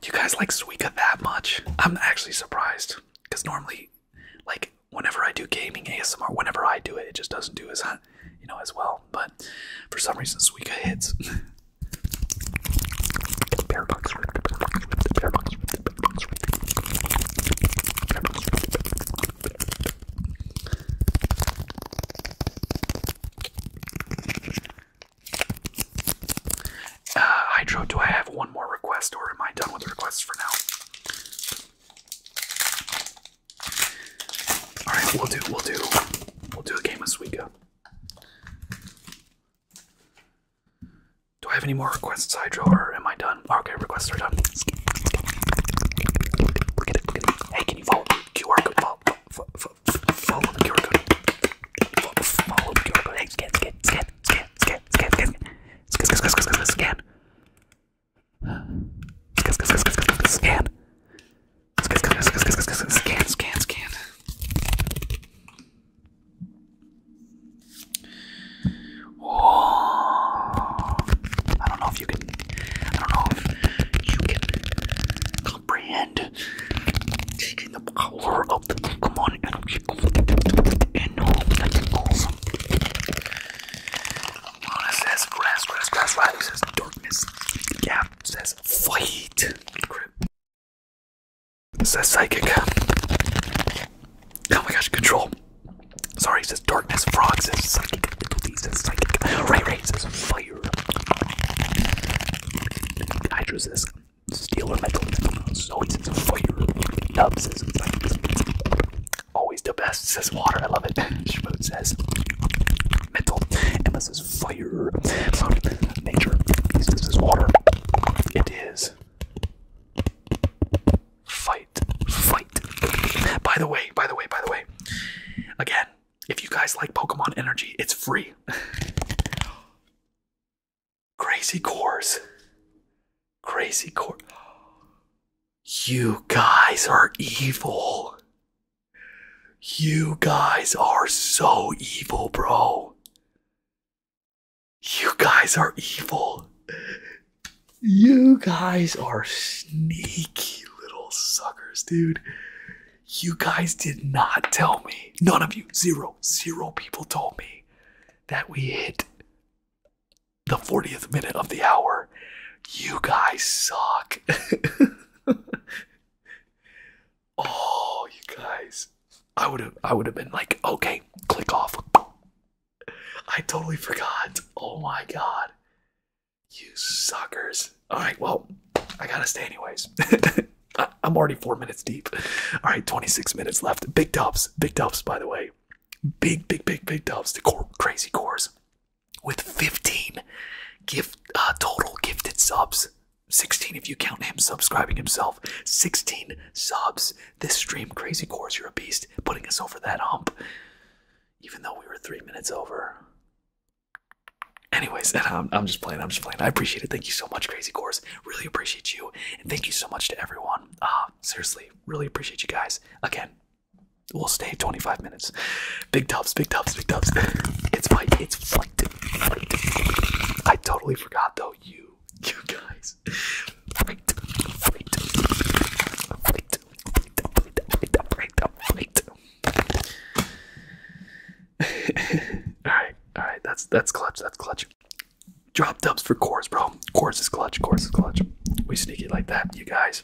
Do you guys like Suica that much? I'm actually surprised because normally like whenever I do gaming ASMR, whenever I do it, it just doesn't do as uh, you know as well. But for some reason, Suika hits. Uh, Hydro, do I have one more request or am I done with the requests for now? All right, we'll do we'll do we'll do a game of Suica. Do I have any more requests, Hydro, or am I done? Okay, requests are done. Look at it, look at it. Hey, can you follow the QR code? Follow, follow, follow the QR code. Follow, follow the QR Hey, scan, scan, scan, scan, scan, scan, scan, scan, scan, scan, scan, scan. Scan. Scan, scan, scan. Oh, I don't know if you can. I don't know if you can comprehend the power of the Pokemon energy and know that you're Lana says grass, grass, grass. Riley says darkness. Gap says fight. Grip says psychic. Oh my gosh, control. Sorry, says darkness. Frog says psychic. Italy says psychic. Ray Ray says fire. Hydra says steel or metal. Zoe says fire. Nub says psychic. Always the best, says water. I love it. Schmoot says mental. Emma says fire. Nature. This is water. It is. Fight. Fight. By the way, by the way, by the way. Again, if you guys like Pokemon Energy, it's free. Crazy cores. Crazy core. You guys are evil. You guys are so evil, bro. You guys are evil. You guys are sneaky little suckers, dude. You guys did not tell me. None of you. Zero, zero people told me that we hit the 40th minute of the hour. You guys suck. oh, you guys. I would have I would have been like, okay, click off. I totally forgot. Oh my god. You suckers. Alright, well, I gotta stay anyways. I'm already four minutes deep. Alright, 26 minutes left. Big dubs. Big dubs, by the way big, big, big, big dubs to core, Crazy Cores with 15 gift uh, total gifted subs. 16 if you count him subscribing himself. 16 subs this stream. Crazy Cores, you're a beast, putting us over that hump, even though we were three minutes over. Anyways, I'm, I'm just playing. I'm just playing. I appreciate it. Thank you so much, Crazy cores. Really appreciate you. And thank you so much to everyone. Uh, seriously, really appreciate you guys. Again, We'll stay 25 minutes. Big tubs, big tubs, big tubs. It's fight, it's flight, flight. I totally forgot though, you, you guys. Fight, fight, fight, fight, fight, fight, fight. Alright, alright, that's that's clutch, that's clutch. Drop dubs for cores, bro. Cores is clutch, cores is clutch. We sneak it like that, you guys.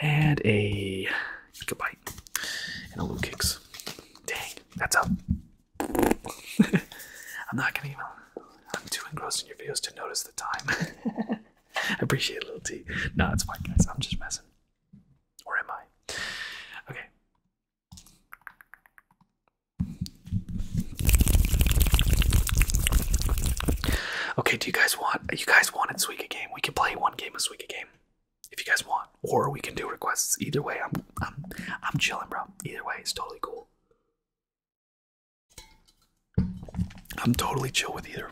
And a goodbye. And a little kicks. Dang, that's up. I'm not gonna even I'm too engrossed in your videos to notice the time. I appreciate a little tea. No, it's fine guys, I'm just messing. Or am I? Okay. Okay, do you guys want you guys want it Suika game? We can play one game of Suika game if you guys want, or we can do requests. Either way, I'm I'm I'm chilling, bro. Either way, it's totally cool. I'm totally chill with either.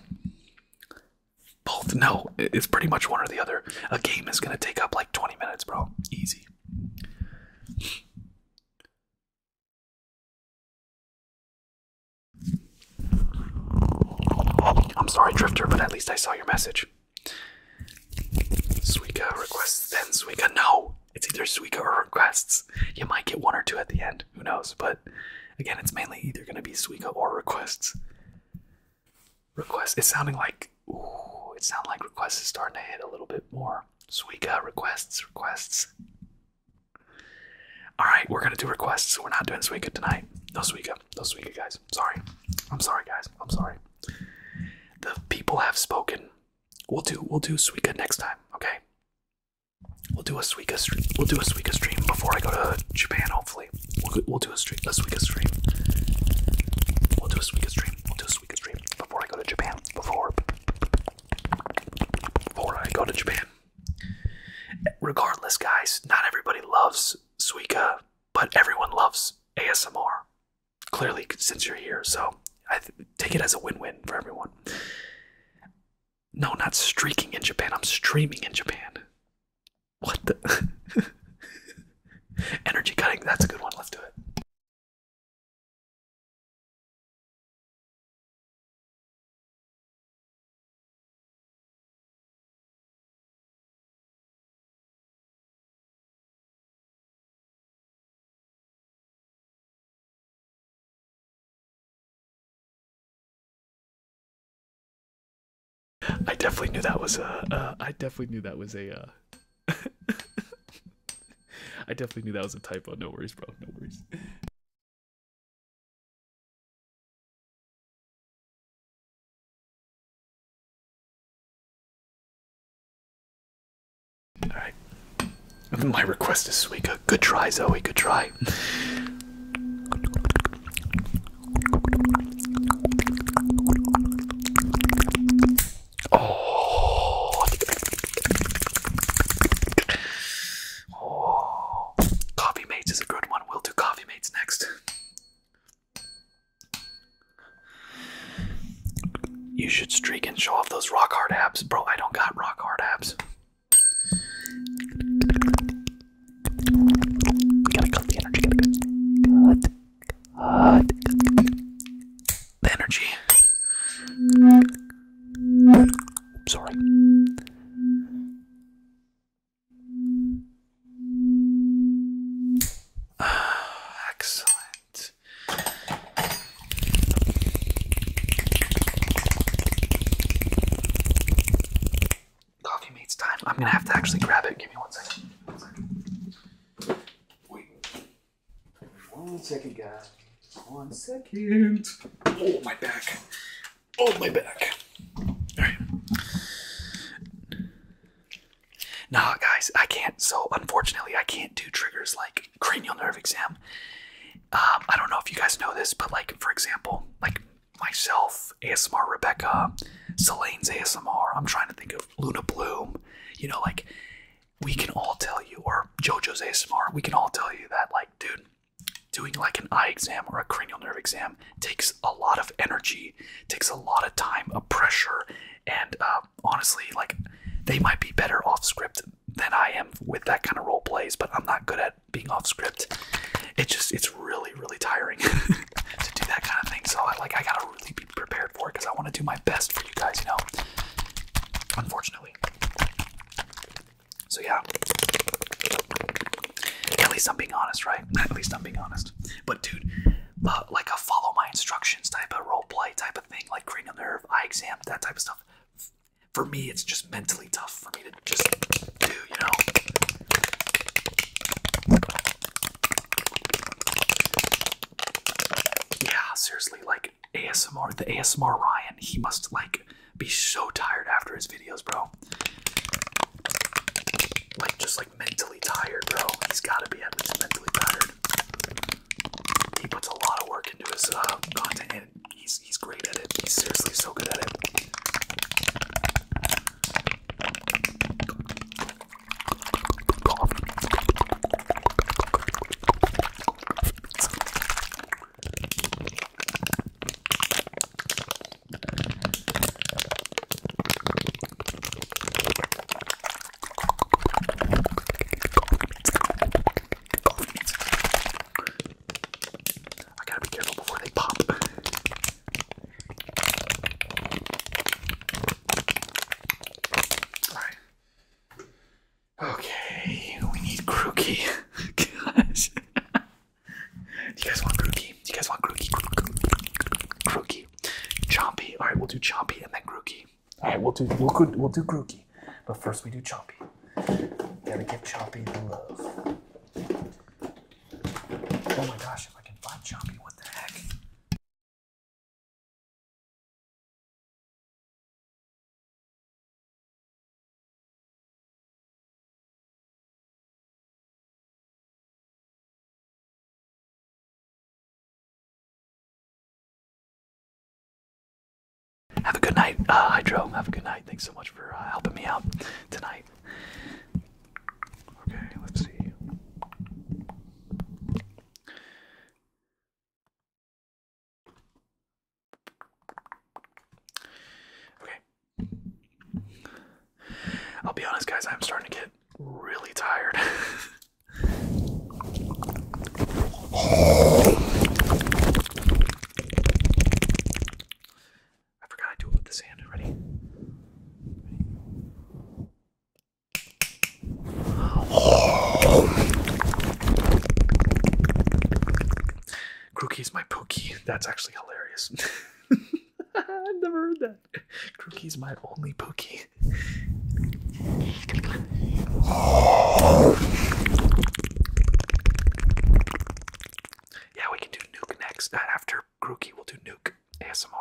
Both no, it's pretty much one or the other. A game is gonna take up like 20 minutes, bro. Easy. I'm sorry, Drifter, but at least I saw your message. Suika requests, then Suika. No! It's either Suika or requests. You might get one or two at the end. Who knows? But again, it's mainly either going to be Suika or requests. Requests. It's sounding like. Ooh, it sounds like requests is starting to hit a little bit more. Suika, requests, requests. All right, we're gonna do requests. We're not doing Suika tonight. No Suika, no Suika, guys. Sorry, I'm sorry, guys. I'm sorry. The people have spoken. We'll do we'll do Suika next time. Okay. We'll do a Suika stream. We'll do a Suika stream before I go to Japan. Hopefully, we'll do a stream a Suika stream. We'll do a Suika stream. We'll do a Suika stream before I go to Japan. Before before I go to Japan. Regardless, guys, not everybody loves suika, but everyone loves ASMR. Clearly, since you're here, so I take it as a win-win for everyone. No, not streaking in Japan. I'm streaming in Japan. What the? Energy cutting. That's a good one. Let's do it. I definitely knew that was a. I definitely knew that was a. Uh, I definitely knew that was a typo. No worries, bro. No worries. All right. My request is Suika. Good. good try, Zoe. Good try. Oh. Oh, coffee mates is a good one. We'll do coffee mates next. You should streak and show off those rock hard abs, bro. I don't got rock hard abs. Gotta cut the energy. Gotta The energy. Oops, sorry. Ah, excellent. Coffee mate's time. I'm gonna have to actually grab it. Give me one second. One second, guys. One second. Oh, my back. Oh, my back. All right. Nah, guys, I can't. So, unfortunately, I can't do triggers like cranial nerve exam. Um, I don't know if you guys know this, but like, for example, like myself, ASMR Rebecca, Celine's ASMR, I'm trying to think of Luna Bloom, you know, like we can all tell you, or JoJo's ASMR, we can all tell you that, like, dude, doing like an eye exam or a cranial nerve exam takes a lot of energy, takes a lot of time, a pressure, and uh, honestly, like they might be better off script than I am with that kind of role plays, but I'm not good at being off script. It just it's really really tiring to do that kind of thing. So I like I gotta really be prepared for it because I want to do my best for you guys. You know, unfortunately. So yeah. At least I'm being honest, right? At least I'm being honest. But dude, like a follow my instructions type of role play type of thing, like cranial nerve, eye exam, that type of stuff. For me, it's just mentally tough for me to just do, you know? Yeah, seriously, like ASMR, the ASMR Ryan, he must like be so tired after his videos, bro. Like just like mentally tired, bro. He's gotta be mentally tired. He puts a lot of work into his uh, content, and he's he's great at it. He's seriously so good at it. I gotta be careful before they pop. Alright. Okay, we need Crookie. Do you guys want Crookie? Do you guys want Crookie? Crookie. Chompy. Alright, we'll do Chompy and then Crookie. Alright, we'll do we'll, do Crookie. But first we do Chompy. Gotta give Chompy the love. Oh my gosh, if I can find Chompy, what the heck? Have a good night, uh, Hydro. Have a good night. Thanks so much for uh, helping me out tonight. Okay, let's see. Okay. I'll be honest, guys, I'm starting to get really tired. I forgot I do it with the sand. Ready? Crookie is my pookie. That's actually hilarious. I've never heard that. Crookie's my only pookie. yeah, we can do nuke next. Uh, after Crookie, we'll do nuke ASMR.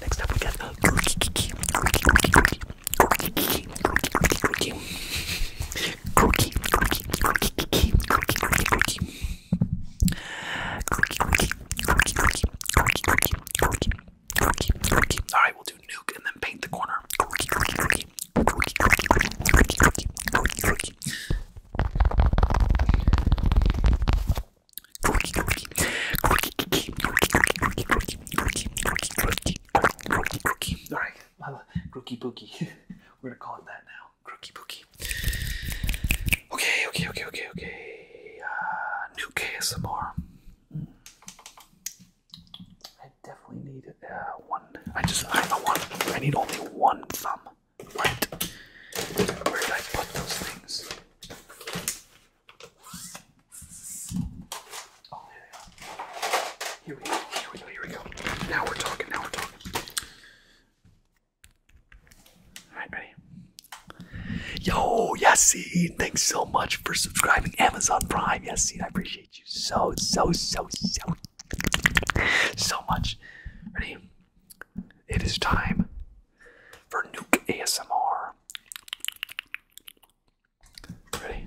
Next up, we got all right, we'll do nuke and then paint the corner. All right, crookie pookie. We're gonna call it that now. Crookie pookie. Okay, okay, okay, okay, okay. Uh, new KSMR. I definitely need uh, one. I just I know one. I need only one thumb. Right. Where did I put those things? Here we go. Here we go. Here we go. Now we're talking. Now we're talking. All right, ready? Yo, Yassine, thanks so much for subscribing. Amazon Prime, Yassine, I appreciate you so, so, so, so, so much. Ready? It is time for Nuke ASMR. Ready?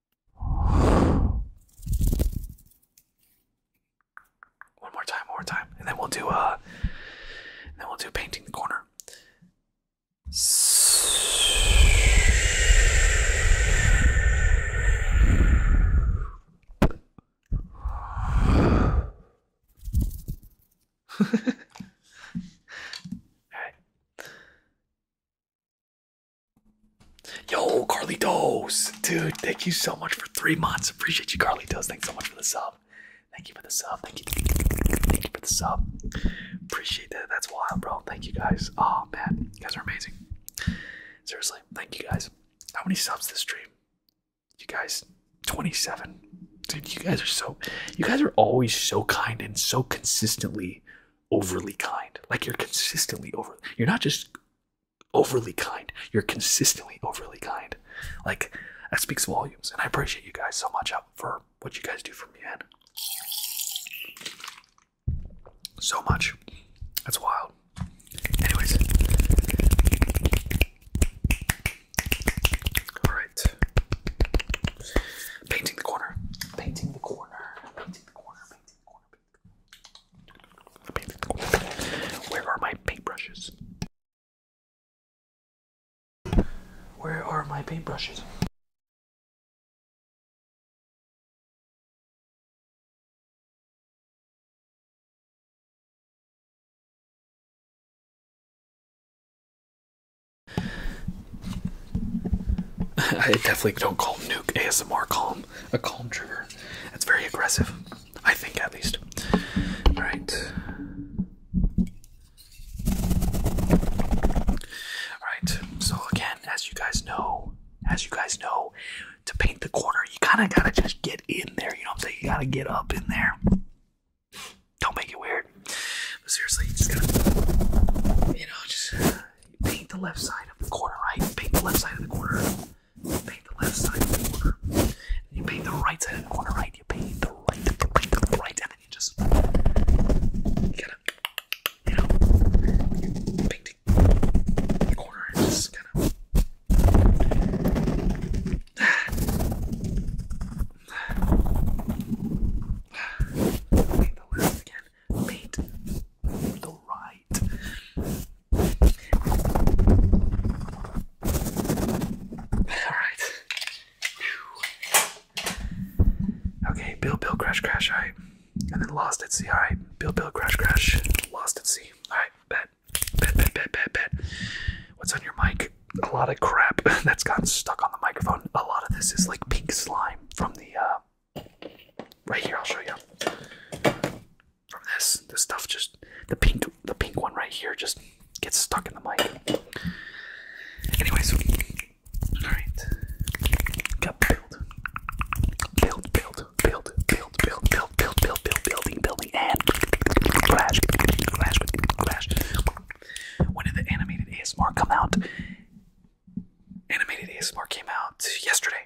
One more time, one more time, and then we'll do uh, a, then we'll do painting the corner. All right. Yo, Carly Carlitos, dude, thank you so much for three months. Appreciate you, Carly Carlitos. Thanks so much for the sub. Thank you for the sub. Thank you. Thank you for the sub. Appreciate that. That's wild, bro. Thank you guys. Oh man, you guys are amazing. Seriously, thank you guys. How many subs this stream? You guys, 27. Dude, you guys are so. You guys are always so kind and so consistently overly kind. Like you're consistently over. You're not just overly kind. You're consistently overly kind. Like that speaks volumes, and I appreciate you guys so much uh, for what you guys do for me, man. So much. That's wild. Anyways. Alright. Painting the corner. Painting the corner. Painting the corner. Painting the corner. Where are my paintbrushes? Where are my paintbrushes? I definitely don't call Nuke ASMR, call a calm trigger. That's very aggressive, I think at least. All right. All right. So again, as you guys know, as you guys know, to paint the corner, you kind of gotta just get in there. You know what I'm saying? You gotta get up in there. Don't make it weird. But seriously, you just gotta, you know, just paint the left side of the corner, right? Paint the left side of the corner. Paint the left side of the corner. And you paint the right side of the corner, right? You paint the right, the right, the right, and then you just you gotta, you know, you paint the corner and just kind of. Paint the left again made the Alright. Okay, Bill Bill Crash Crash, alright. And then Lost at Sea, alright. Bill Bill Crash Crash, Lost at Sea. Alright, bet. Bet, bet, bet, bet, bet. What's on your mic? A lot of crap that's gotten stuck on the microphone. A lot of this is like pink slime from the uh, Right here, I'll show you. From this, this stuff just the pink, the pink one right here just gets stuck in the mic. Anyways, all right. Got build, build, build, build, build, build, build, build, build, build, building, building, and crash, crash, crash. When did the animated ASMR come out? Animated ASMR came out yesterday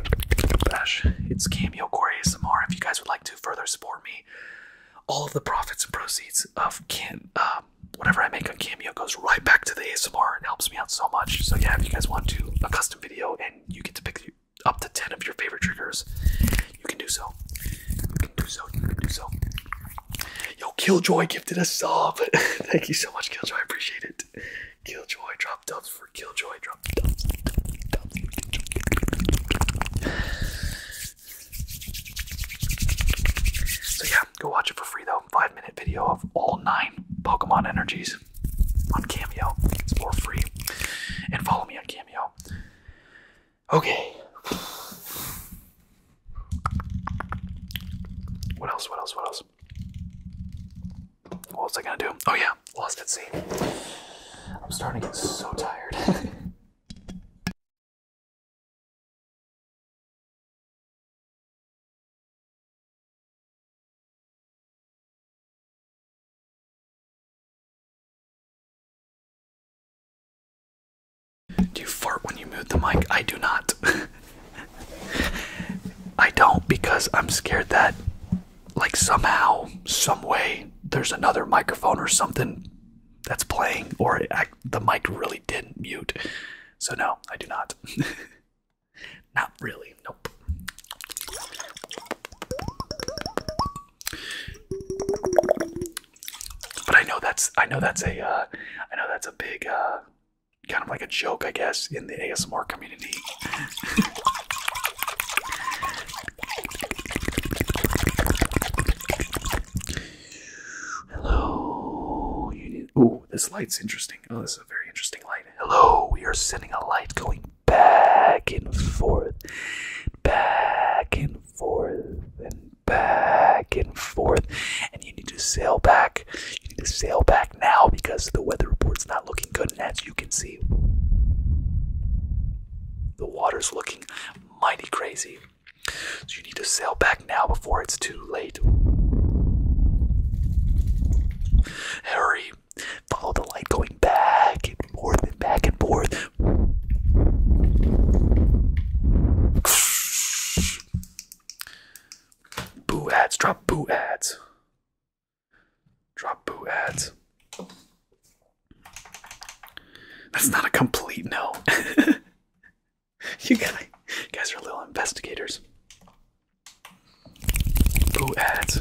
It's Cameo Core ASMR. If you guys would like to further support me, all of the profits and proceeds of can uh, whatever I make on Cameo goes right back to the ASMR and helps me out so much. So yeah, if you guys want to a custom video and you get to pick up to ten of your favorite triggers, you can do so. You can do so. You can do so. Yo, Killjoy gifted a sub. Thank you so much, Killjoy. I appreciate it. Killjoy, dubs for Killjoy. Drop So yeah, go watch it for free though. Five minute video of all nine Pokemon energies on Cameo. for free. And follow me on Cameo. Okay. What else? What else? What else? What was I gonna do? Oh yeah, lost at sea. I'm starting to get so tired. do you fart when you mute the mic? I do not. I don't because I'm scared that like somehow, some way, there's another microphone or something that's playing, or the mic really did not mute. So no, I do not. not really. Nope. But I know that's I know that's a uh, know that's a big uh, kind of like a joke, I guess, in the ASMR community Hello. You Oh, this light's interesting. Oh, this is a very interesting light. Hello. We are sending a light going back and forth, back and forth, and back and forth. And you need to sail back. You need to sail back now because the weather report's not looking good, and as you can see, the water's looking mighty crazy. So you need to sail back now before it's too late. Hurry, follow the light going back and forth and back and forth. Boo ads, drop boo ads. Drop boot ads. That's not a complete no. you guys, are little investigators. Boot ads.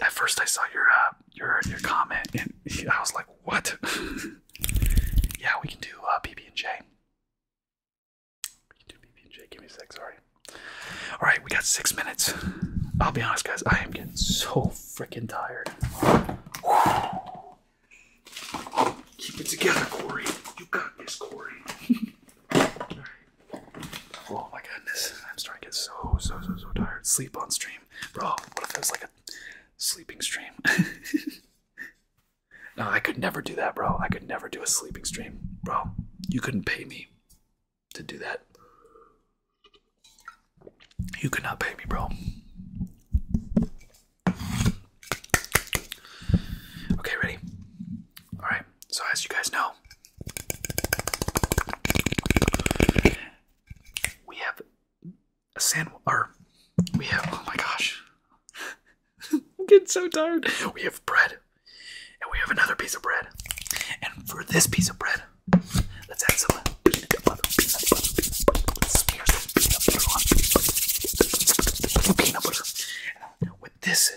At first, I saw your uh, your your comment, and I was like, "What?" yeah, we can do uh, BB and J. We can do BB and J. Give me a sec. Sorry. All right, we got six minutes. I'll be honest, guys. I am getting so freaking tired. Keep it together, Corey. You got this, Corey. Oh my goodness, I'm starting to get so, so, so, so tired. Sleep on stream. Bro, what if it was like a sleeping stream? no, I could never do that, bro. I could never do a sleeping stream. Bro, you couldn't pay me to do that. You could not pay me, bro. Okay, ready? Alright, so as you guys know, we have a sand or we have oh my gosh. I'm getting so tired. We have bread. And we have another piece of bread. And for this piece of bread, let's add some peanut butter. Peanut butter. With this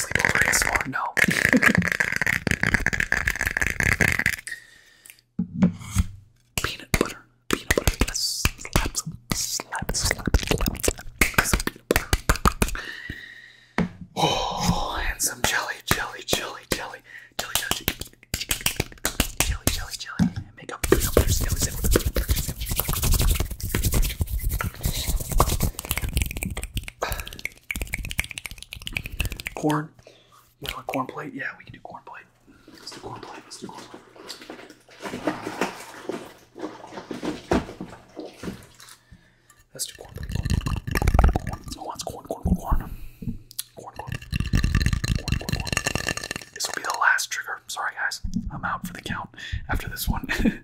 not sleeping on this floor, no. peanut butter, peanut butter, yes. Slap, slap, slap, slap, slap, some peanut butter. Oh, and some jelly, jelly, jelly, jelly, jelly, jelly, jelly, jelly, jelly, and make a peanut butter sandwich. Corn. You a corn plate? Yeah, we can do corn plate. Let's do corn plate. Let's do corn plate. Let's do corn plate. Corn, corn. corn? Corn, corn. Corn, corn, corn. This will be the last trigger. Sorry, guys. I'm out for the count after this one.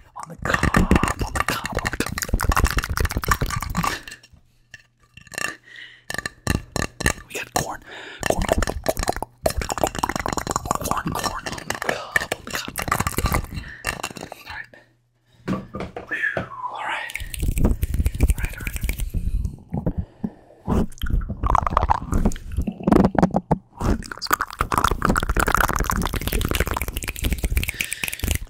on the cob, on the cob, on the cob. We got corn, corn, corn, corn, corn, corn, All right. All right. All right. All right. All right.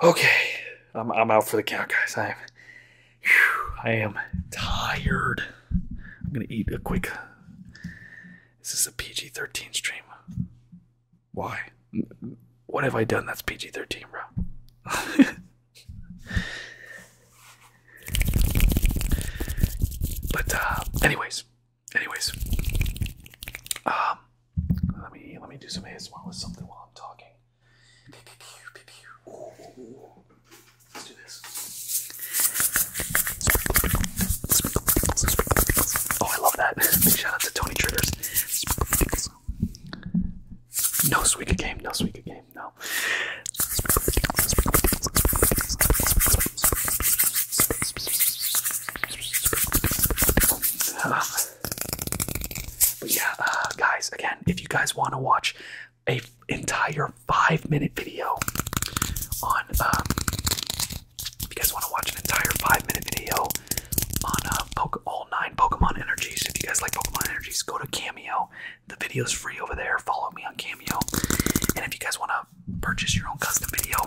Okay, I'm, I'm out for the count, guys. I am, I am tired. I'm gonna eat a quick. Is this a PG-13 stream? Why? What have I done that's PG-13, bro? But uh, anyways, anyways, um, let me let me do some ASMR with something while I'm talking. Let's do this. Oh, I love that! Big shout out to Tony Triggers. No Suika game, no Suika game. No. Ah. but yeah, uh, guys, again, if you guys want to watch a entire five-minute video on, um, if you guys want to watch an entire five-minute video on uh, all nine Pokemon energies, if you guys like Pokemon energies, go to Cameo the video is free over there. Follow me on Cameo. And if you guys want to purchase your own custom video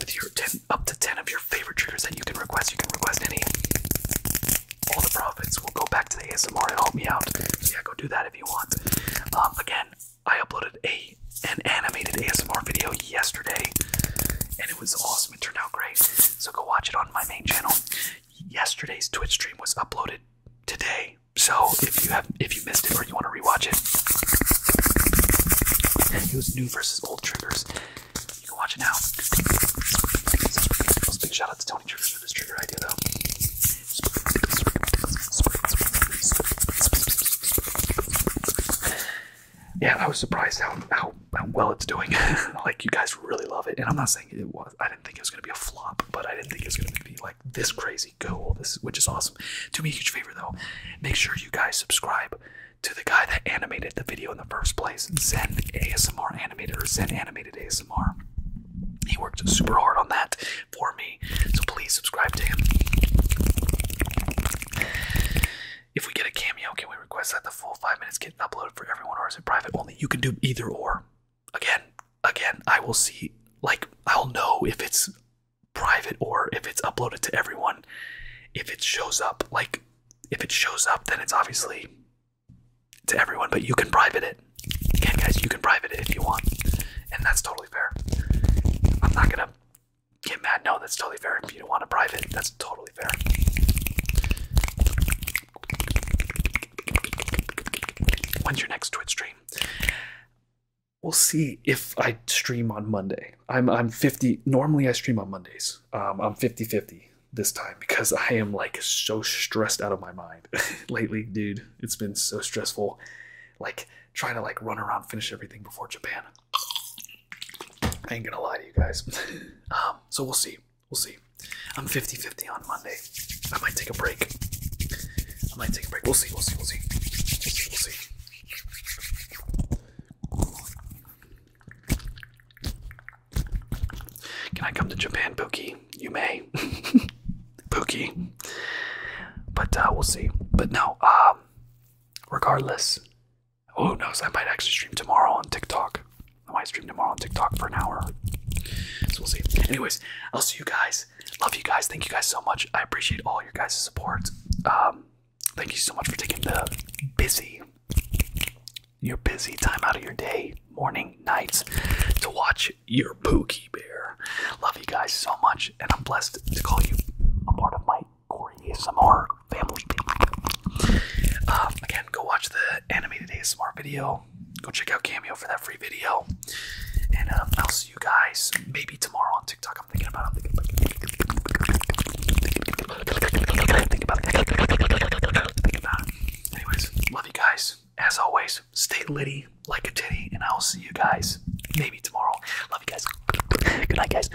with your 10, up to 10 of your favorite triggers that you can request, you can request any. All the profits will go back to the ASMR and help me out. So yeah, go do that if you want. Um, again, I uploaded a an animated ASMR video yesterday, and it was awesome. It turned out great. So go watch it on my main channel yesterday's Twitch stream was uploaded today. So if you have if you missed it or you want to rewatch it, it was new versus old triggers. You can watch it now. Big shout out to Tony Triggers for this trigger idea though. Yeah, I was surprised how how how well it's doing. like you guys really love it, and I'm not saying it was. I didn't think it was gonna be a flop, but I didn't think it was gonna be like this crazy cool. This which is awesome. Do me a huge favor though, make sure you guys subscribe to the guy that animated the video in the first place, Zen ASMR Animator, or Zen Animated ASMR. He worked super hard on that for me, so please subscribe to him. If we get a cameo, can we request that full five minutes getting uploaded for everyone, or is it private only? You can do either or. Again, again, I will see. Like, I'll know if it's private or if it's uploaded to everyone. If it shows up, like, if it shows up, then it's obviously to everyone. But you can private it. Again, guys, you can private it if you want, and that's totally fair. I'm not gonna get mad. No, that's totally fair. If you don't want to private, that's totally When's your next Twitch stream? We'll see if I stream on Monday. I'm I'm 50. Normally I stream on Mondays. Um, I'm 50-50 this time because I am like so stressed out of my mind lately, dude. It's been so stressful. Like trying to like run around, finish everything before Japan. I ain't gonna lie to you guys. Um, so we'll see. We'll see. I'm 50 50 on Monday. I might take a break. I might take a break. We'll see. We'll see. We'll see. We'll see. Can I come to Japan, Pookie? You may. Pookie. But uh, we'll see. But no, um, regardless, who knows? I might actually stream tomorrow on TikTok. I might stream tomorrow on TikTok for an hour. So we'll see. Anyways, I'll see you guys. Love you guys. Thank you guys so much. I appreciate all your guys' support. Um, thank you so much for taking the busy, your busy time out of your day, morning, nights, to watch your Pookie Bear. Love you guys so much, and I'm blessed to call you a part of my Corey ASMR family. Um, again, go watch the animated ASMR video. Go check out Cameo for that free video. And um, I'll see you guys maybe tomorrow on TikTok. I'm thinking about it. I'm thinking about it. Think about it. Think about Anyways, love you guys. As always, stay litty like a titty, and I will see you guys maybe tomorrow. Love you guys. Good night, guys.